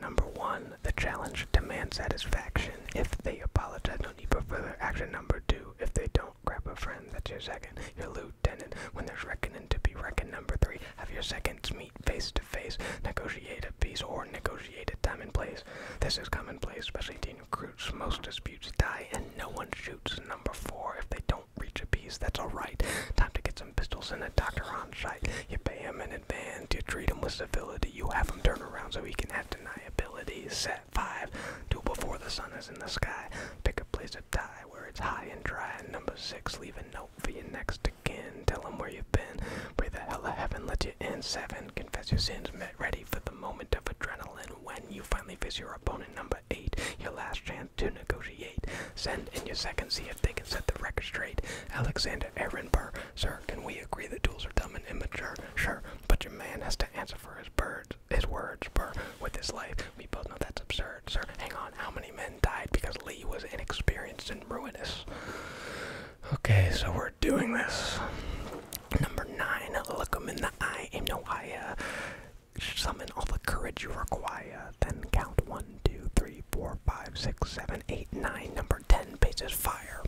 Number one, the challenge demands satisfaction. If they apologize, no need for further action. Number two, if they don't, grab a friend. That's your second. Your lieutenant, when there's reckoning to be reckoned. Number three, have your seconds meet face to face. Negotiate a peace or negotiate a time and place. This is commonplace, especially teen recruits. Most disputes die and no one shoots. Number four, if they don't reach a peace, that's alright. Time to get some pistols and a doctor on site. You pay him in advance, you treat him with civility, you have him turn around so he can have deniability. Set 5, do before the sun is in the sky. Pick a place to die where it's high and dry. Number 6, leave a note for your next again. Tell him where you've been. Pray the hell of heaven let you in. 7, confess your sins, met ready for the moment of adrenaline when you finally face your opponent. Number 8, your last chance to negotiate. Send in your second, see if they can set the record straight. Alexander Aaron Burr Sir, can we agree that duels are dumb and immature? Sure, but your man has to answer for his birds, his words, burr, with his life. We both know that's absurd, sir. Hang on, how many men died because Lee was inexperienced and ruinous? Okay, so we're doing this. Number nine, look him in the eye, aim no higher. Summon all the courage you require, then count one 1, 2, 3, 4, 5, 6, 7, 8, 9. Number 10 faces fire.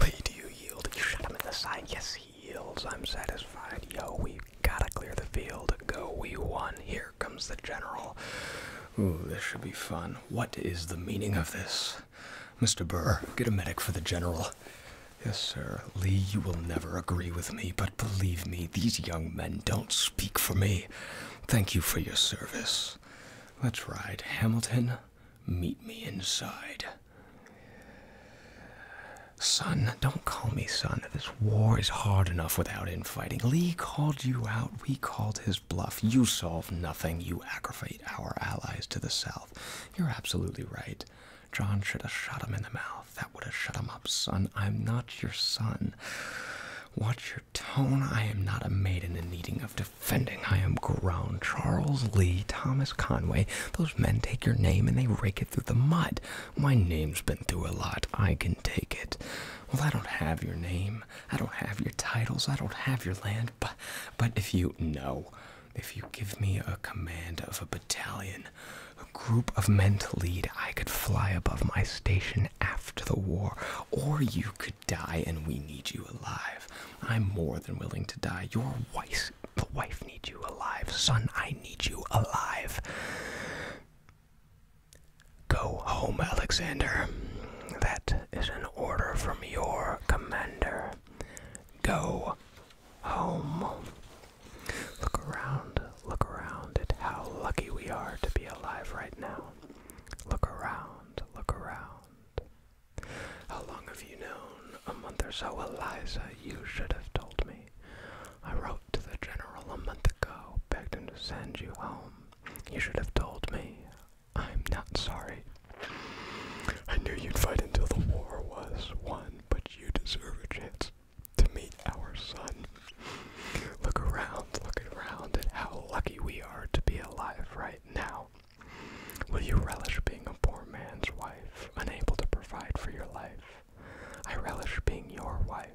Lee, do you yield? You shot him in the side. Yes, he yields. I'm satisfied. Yo, we gotta clear the field. Go, we won. Here comes the general. Ooh, this should be fun. What is the meaning of this? Mr. Burr, get a medic for the general. Yes, sir. Lee, you will never agree with me, but believe me, these young men don't speak for me. Thank you for your service. Let's ride. Hamilton, meet me inside. Son, don't call me son. This war is hard enough without infighting. Lee called you out. We called his bluff. You solve nothing. You aggravate our allies to the south. You're absolutely right. John should have shot him in the mouth. That would have shut him up, son. I'm not your son. Watch your tone. I am not a maiden in need of defending. I am grown. Charles Lee, Thomas Conway, those men take your name and they rake it through the mud. My name's been through a lot. I can take it. Well, I don't have your name. I don't have your titles. I don't have your land. But, but if you know, if you give me a command of a battalion, a group of men to lead, I could fly above my station after the war, or you could die and we need you alive. I'm more than willing to die. Your wife, the wife needs you alive. Son, I need you alive. Go home, Alexander. That is an order from your commander. Go home. Look around, look around at how lucky we are to be alive right now. Look around, look around. How long have you known? A month or so, Eliza, you should have told me. I wrote to the general a month ago, begged him to send you home. You should have told me. I'm not sorry. I knew you'd fight until the war was won but you deserve a chance to meet our son. Look around, look around and how lucky we are to be alive right now. Will you relish being a poor man's wife, unable to provide for your life? I relish being your wife.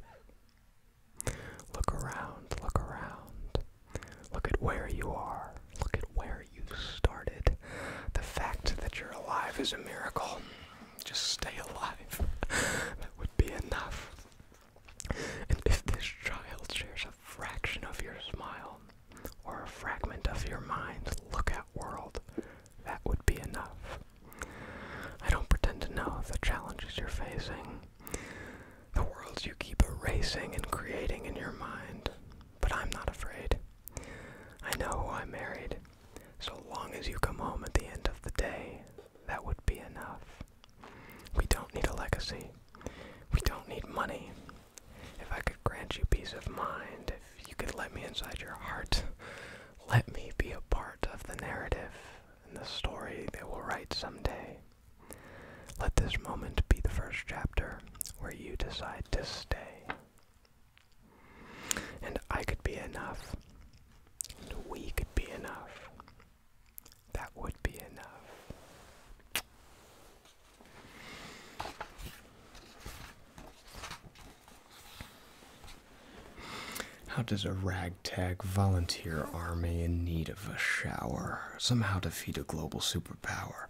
Look around, look around. Look at where you are, look at where where you started. The fact that you're alive is a miracle. Just stay alive. *laughs* that would be enough. And if this child shares a fraction of your smile or a fragment of your mind, look at world, that would be enough. I don't pretend to know the challenges you're facing, the worlds you keep erasing and creating in your mind, but I'm not afraid. I know who I married, so long as you come home at the end of the day, that would be enough. We don't need a legacy. We don't need money. If I could grant you peace of mind, if you could let me inside your heart, let me be a part of the narrative and the story they will write someday. Let this moment be the first chapter where you decide to stay. And I could be enough. we could be enough. That would be enough. How does a ragtag volunteer army in need of a shower somehow defeat a global superpower?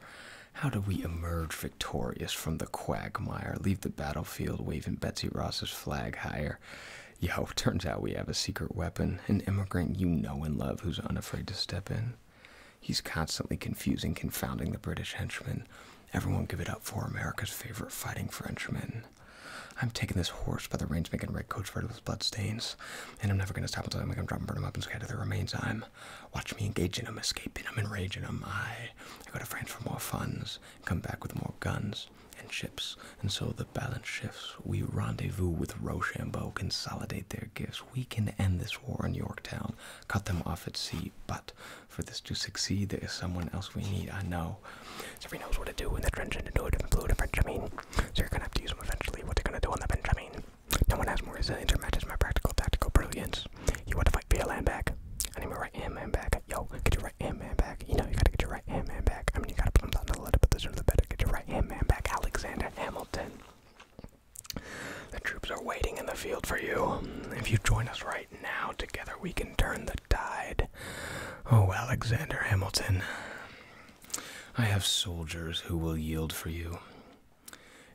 How do we emerge victorious? victorious from the quagmire. Leave the battlefield waving Betsy Ross's flag higher. Yo, *laughs* turns out we have a secret weapon, an immigrant you know and love who's unafraid to step in. He's constantly confusing, confounding the British henchmen. Everyone give it up for America's favorite fighting Frenchman. I'm taking this horse by the reins, making red coats coat with blood stains, and I'm never gonna stop until I make him drop and burn him up and scatter the remains. I'm watch me engage in him, escaping him, enraging him. I I, go to France for more funds, come back with more guns and ships, and so the balance shifts. We rendezvous with Rochambeau, consolidate their gifts. We can end this war in Yorktown, cut them off at sea. But for this to succeed, there is someone else we need. I know. Every knows what to do in the trench and to do it in blue to Benjamin. So you're gonna have to use them eventually. What they're gonna do on the bench? I mean, No one has more resilience or matches my practical tactical brilliance. You want to fight for your land back? I more right back. Yo, get your right hand man back. You know you gotta get your right hand man back. I mean you gotta put him down in the letter position of the better. Get your right hand man back, Alexander Hamilton. The troops are waiting in the field for you. If you join us right now, together we can turn the tide. Oh, Alexander Hamilton, I have soldiers who will yield for you.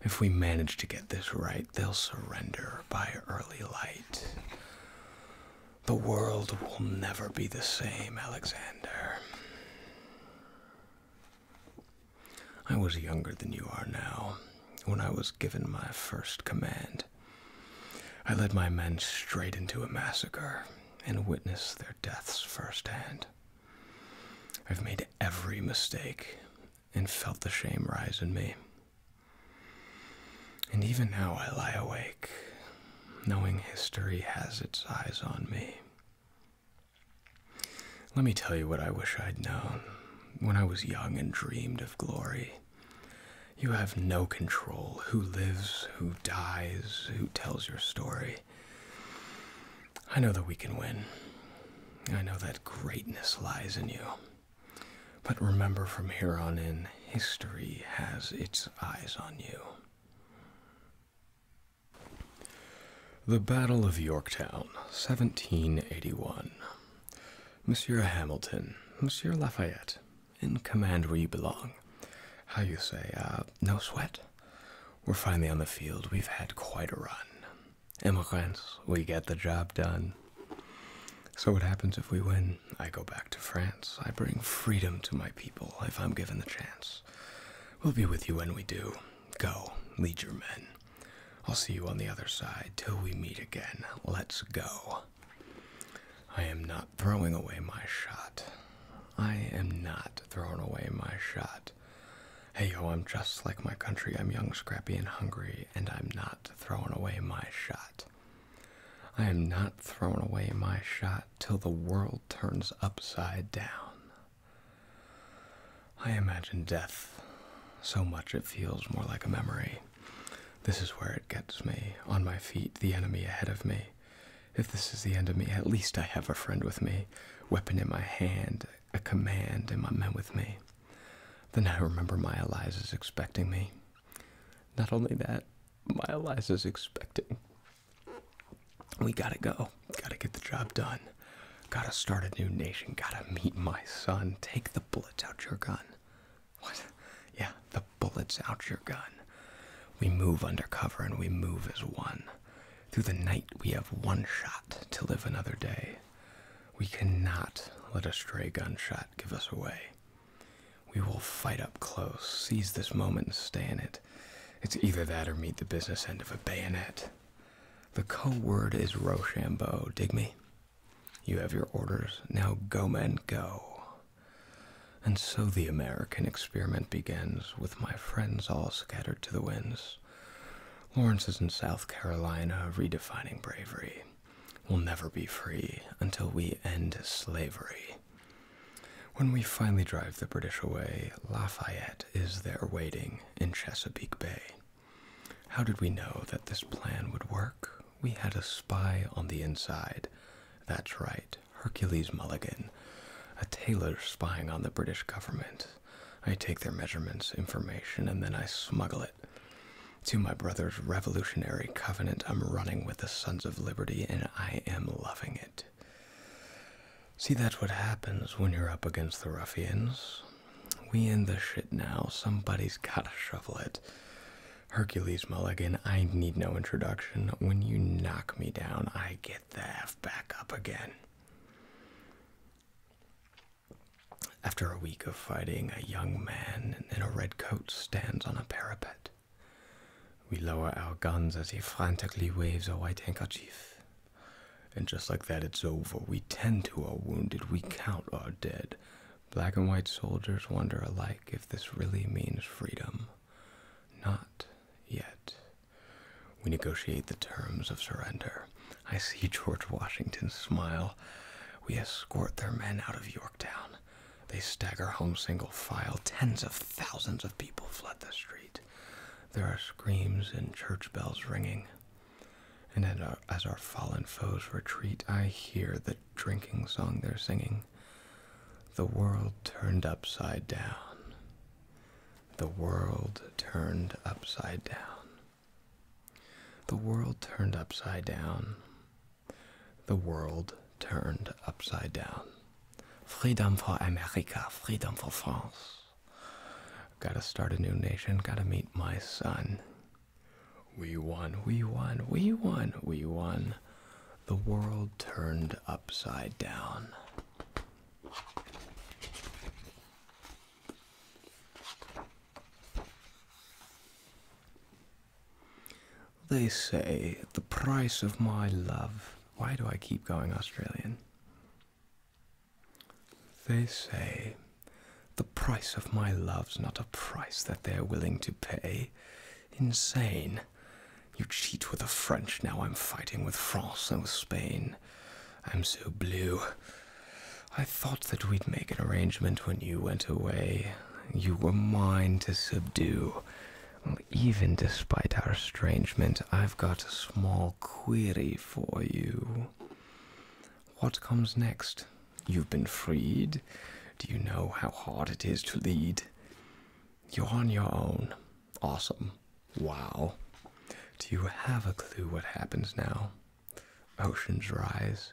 If we manage to get this right, they'll surrender by early light. The world will never be the same, Alexander. I was younger than you are now when I was given my first command. I led my men straight into a massacre and witnessed their deaths firsthand. I've made every mistake, and felt the shame rise in me. And even now I lie awake, knowing history has its eyes on me. Let me tell you what I wish I'd known when I was young and dreamed of glory. You have no control who lives, who dies, who tells your story. I know that we can win. I know that greatness lies in you. But remember from here on in, history has its eyes on you. The Battle of Yorktown, 1781. Monsieur Hamilton, Monsieur Lafayette, in command where you belong. How you say, Ah, no sweat? We're finally on the field. We've had quite a run. Immigrants, we get the job done. So, what happens if we win? I go back to France. I bring freedom to my people if I'm given the chance. We'll be with you when we do. Go, lead your men. I'll see you on the other side till we meet again. Let's go. I am not throwing away my shot. I am not throwing away my shot. Hey yo, I'm just like my country. I'm young, scrappy, and hungry, and I'm not throwing away my shot. I am not thrown away my shot till the world turns upside down. I imagine death so much it feels more like a memory. This is where it gets me. On my feet, the enemy ahead of me. If this is the end of me, at least I have a friend with me, weapon in my hand, a command, and my men with me. Then I remember my Eliza's expecting me. Not only that, my Eliza's expecting. We gotta go. Gotta get the job done. Gotta start a new nation. Gotta meet my son. Take the bullets out your gun. What? Yeah, the bullets out your gun. We move undercover and we move as one. Through the night, we have one shot to live another day. We cannot let a stray gunshot give us away. We will fight up close, seize this moment and stay in it. It's either that or meet the business end of a bayonet. The code word is Rochambeau, dig me? You have your orders. Now go, men, go. And so the American experiment begins, with my friends all scattered to the winds. Lawrence is in South Carolina, redefining bravery will never be free until we end slavery. When we finally drive the British away, Lafayette is there waiting in Chesapeake Bay. How did we know that this plan would work? We had a spy on the inside. That's right, Hercules Mulligan, a tailor spying on the British government. I take their measurements, information, and then I smuggle it to my brother's revolutionary covenant, I'm running with the Sons of Liberty and I am loving it. See, that's what happens when you're up against the ruffians. We in the shit now. Somebody's gotta shovel it. Hercules Mulligan, I need no introduction. When you knock me down, I get the F back up again. After a week of fighting, a young man in a red coat stands on a parapet. We lower our guns as he frantically waves a white handkerchief. And just like that, it's over. We tend to our wounded, we count our dead. Black and white soldiers wonder alike if this really means freedom. Not yet. We negotiate the terms of surrender. I see George Washington smile. We escort their men out of Yorktown. They stagger home single file. Tens of thousands of people flood the street. There are screams and church bells ringing. And as our, fallen foes retreat, I hear the drinking song they're singing. The world turned upside down. The world turned upside down. The world turned upside down the world turned upside down. Freedom for America, freedom for France. Gotta start a new nation, gotta meet my son. We won, we won, we won, we won. The world turned upside down. They say the price of my love. Why do I keep going Australian? They say the price of my love's not a price that they're willing to pay. Insane. You cheat with the French, now I'm fighting with France and with Spain. I'm so blue. I thought that we'd make an arrangement when you went away you were mine to subdue. Well, even despite our estrangement, I've got a small query for you. What comes next? You've been freed. Do you know how hard it is to lead? You're on your own. Awesome. Wow. Do you have a clue what happens now? Oceans rise,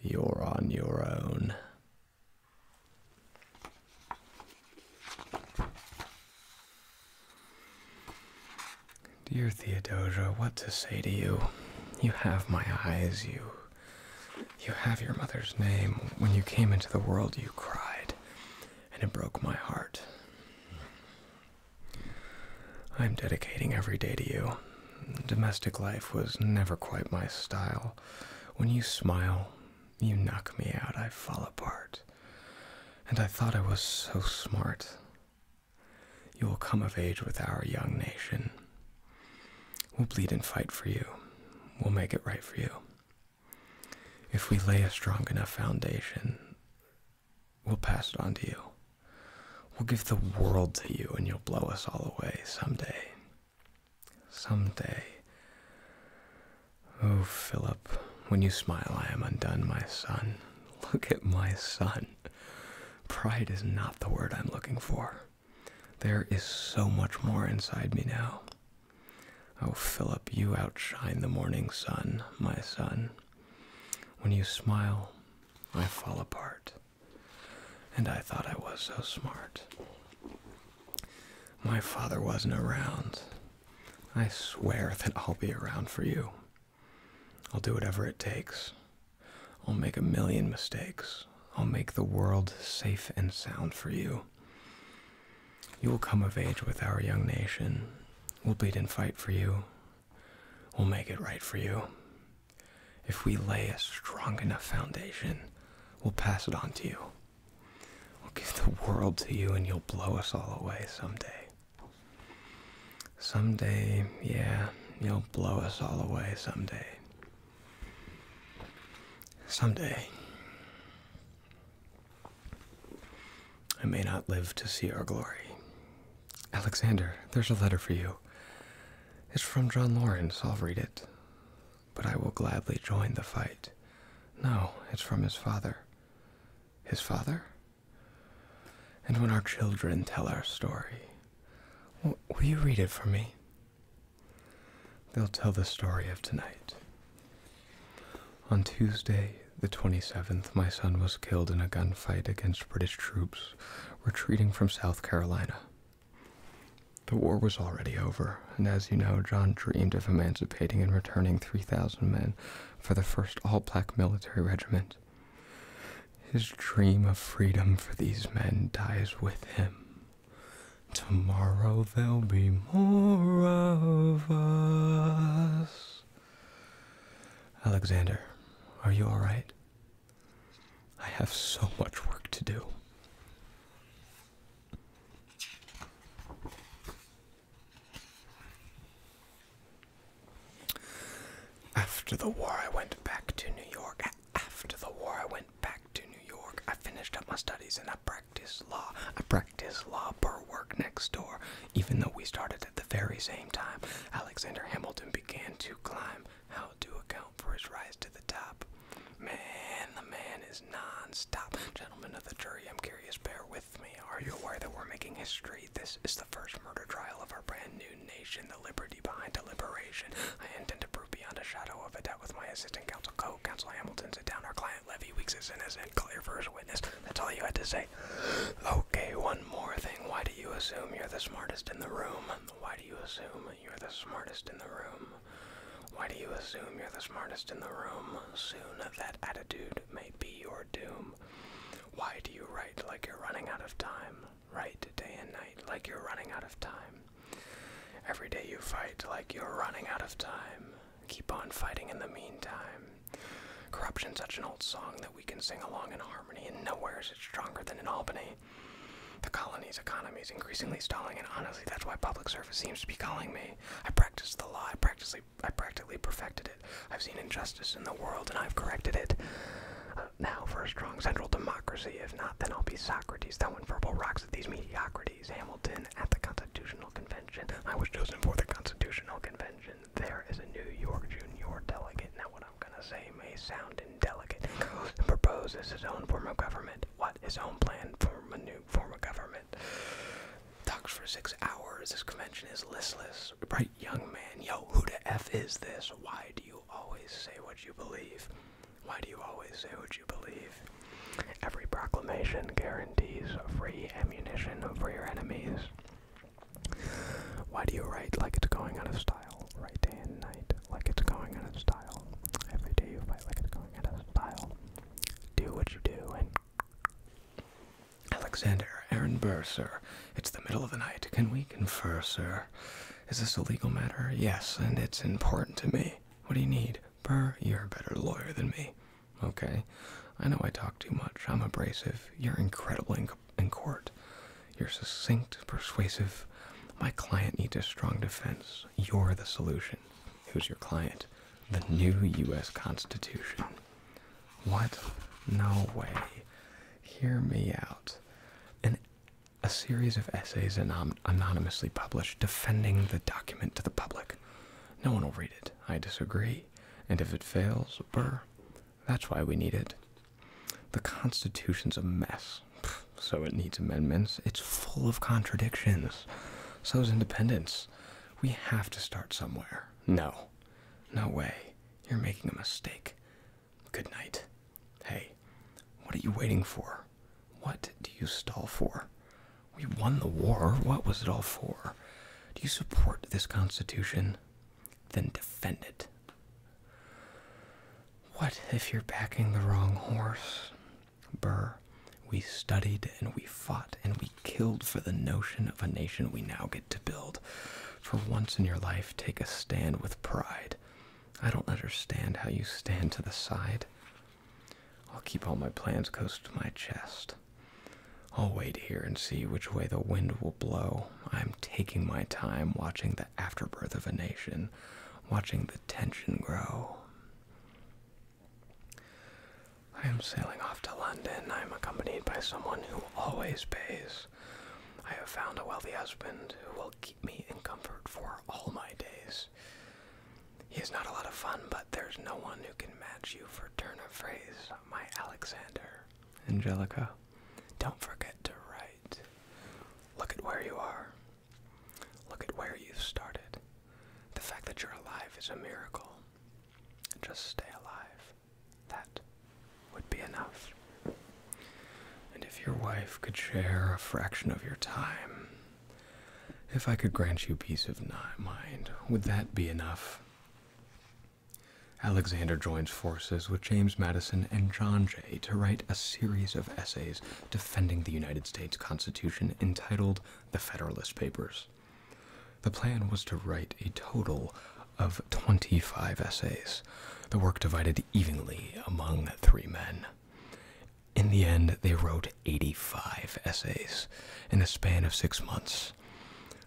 you're on your own. Dear Theodosia, what to say to you? You have my eyes, you. You have your mother's name. When you came into the world, you cried, and it broke my heart. I'm dedicating every day to you. Domestic life was never quite my style. When you smile, you knock me out, I fall apart. And I thought I was so smart. You will come of age with our young nation. We'll bleed and fight for you. We'll make it right for you. If we lay a strong enough foundation, we'll pass it on to you. We'll give the world to you and you'll blow us all away someday. Someday. Oh, Philip, when you smile, I am undone, my son. Look at my son. Pride is not the word I'm looking for. There is so much more inside me now. Oh, Philip, you outshine the morning sun, my son. When you smile, I fall apart. And I thought I was so smart. My father wasn't around. I swear *laughs* that I'll be around for you. I'll do whatever it takes. I'll make a million mistakes. I'll make the world safe and sound for you. You will come of age with our young nation. We'll bleed and fight for you. We'll make it right for you. If we lay a strong enough foundation, we'll pass it on to you. We'll give the world to you and you'll blow us all away someday. Someday, yeah, you'll blow us all away someday. Someday. I may not live to see our glory, Alexander, there's a letter for you. It's from John Lawrence. I'll read it. But I will gladly join the fight. No, it's from his father. His father? And when our children tell our story, will, you read it for me? They'll tell the story of tonight. On Tuesday, the 27th, my son was killed in a gunfight against British troops retreating from South Carolina. The war was already over, and as you know, John dreamed of emancipating and returning 3,000 men for the first all black military regiment. His dream of freedom for these men dies with him. Tomorrow there'll be more of us. Alexander, are you alright? I have so much work to do. After the war, I went back to New York. After the war, I went back to New York. I finished up my studies and I practiced law. I practiced law per work next door. Even though we started at the very same time, Alexander Hamilton began to climb how to account for his rise to the top. Man, the man is non Gentlemen of the jury, I'm curious, bear with me. Are you aware that we're making history? This is the first murder trial of our brand new nation, the liberty behind deliberation. I intend to prove beyond a shadow of a doubt with my assistant counsel, co-counsel Hamilton, sit down our client, Levy Weeks is innocent, clear for his witness. That's all you had to say. Okay, one more thing. Why do you assume you're the smartest in the room? Why do you assume you're the smartest in the room. Why do you assume you're the smartest in the room? Soon that attitude may be your doom. Why do you write like you're running out of time? Write day and night like you're running out of time. Every day you fight like you're running out of time. Keep on fighting in the meantime. Corruption, such an old song that we can sing along in harmony, and nowhere is it stronger than in Albany. The colony's economy is increasingly stalling, and honestly, that's why public service seems to be calling me. I practiced the law, I practically, I practically perfected it. I've seen injustice in the world, and I've corrected it. now for a strong central democracy. If not, then I'll be Socrates, throwing verbal rocks at these mediocrities. Hamilton at the Constitutional Convention. I was chosen for the Constitutional Convention. There is a New York junior delegate. Now, what I'm gonna say may sound indelicate, proposes his own form of government. What? His own plan Form a new form of government. Talks for six hours. This convention is listless. Right, young man. Yo, who the F is this? Why do you always say what you believe? Why do you always say what you believe? Every proclamation guarantees free ammunition for your enemies. Why do you write like it's going out of style? Right day and night like it's going out style. Every day you fight like it's going out style. Do what you do and. Alexander, Aaron Burr, sir. It's the middle of the night. Can we confer, sir? Is this a legal matter? Yes, and it's important to me. What do you need? Burr, you're a better lawyer than me. Okay. I know I talk too much. I'm abrasive. You're incredible in court. You're succinct, persuasive. My client needs a strong defense. You're the solution. Who's your client? The new U.S. Constitution. What? No way. Hear me out. An, a series of essays anonymously published defending the document to the public. No one will read it. I disagree. And if it fails, brr, that's why we need it. The Constitution's a mess, so it needs amendments. It's full of contradictions. So is independence. We have to start somewhere. No, no way. You're making a mistake. Good night. Hey, what are you waiting for? What do you stall for? We won the war. What was it all for? Do you support this Constitution? Then defend it. What if you're backing the wrong horse? Burr, we studied and we fought and we killed for the notion of a nation we now get to build. For once in your life, take a stand with pride. I don't understand how you stand to the side. I'll keep all my plans close to my chest. I'll wait here and see which way the wind will blow. I'm taking my time watching afterbirth of a nation, watching the tension grow. I am sailing off to London. I am accompanied by someone who always pays. I have found a wealthy husband who will keep me in comfort for all my days. He is not a lot of fun, but there's no one who can match you for turn of phrase, my Alexander. Angelica, don't forget to write. Look at where you are. Look at where you have started. The fact that you're alive is a miracle. Just stay alive. That would be enough. And if your wife could share a fraction of your time, if I could grant you peace of mind, would that be enough? Alexander joins forces with James Madison and John Jay to write a series of essays defending the United States Constitution entitled The Federalist Papers. The plan was to write a total of 25 essays, the work divided evenly among three men. In the end, they wrote 85 essays in a span of six months.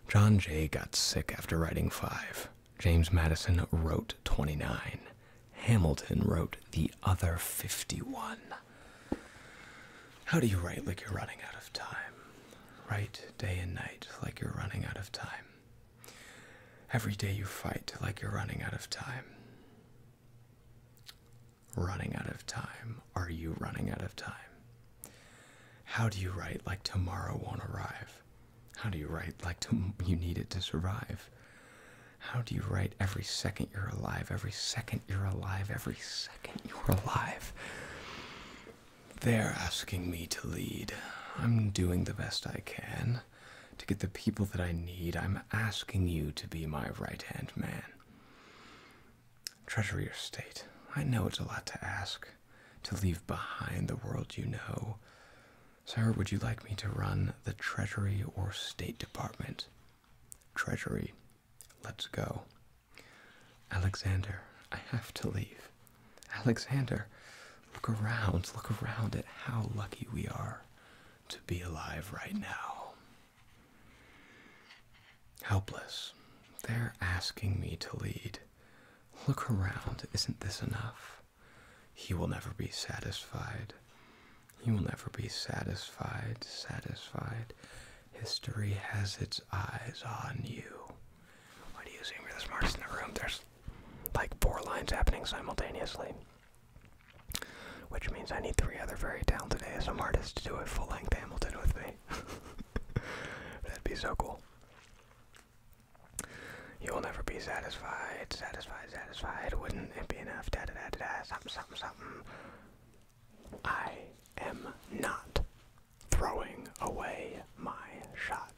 John Jay got sick after writing five. James Madison wrote 29. Hamilton wrote the other 51. How do you write like you're running out of time? Write day and night like you're running out of time. Every day you fight like you're running out of time. Running out of time. Are you running out of time? How do you write like tomorrow won't arrive? How do you write like you need it to survive? How do you write every second you're alive? Every second you're alive. Every second you're alive. They're asking me to lead. I'm doing the best I can to get the people that I need. I'm asking you to be my right hand man. Treasure your state. I know it's a lot to ask to leave behind the world you know. Sir, would you like me to run the Treasury or State Department? Treasury. Let's go. Alexander, I have to leave. Alexander, look around, look around at how lucky we are to be alive right now. Helpless. They're asking me to lead. Look around. Isn't this enough? He will never be satisfied. He will never be satisfied, satisfied. History has its eyes on you. Why do you assume you're the smartest in the room? There's like four lines happening simultaneously. Which means I need three other very talented ASM artists to do a full length Hamilton with me. *laughs* That'd be so cool. You will never be satisfied, satisfied wouldn't it be enough, something, something, something. I am not throwing away my shot.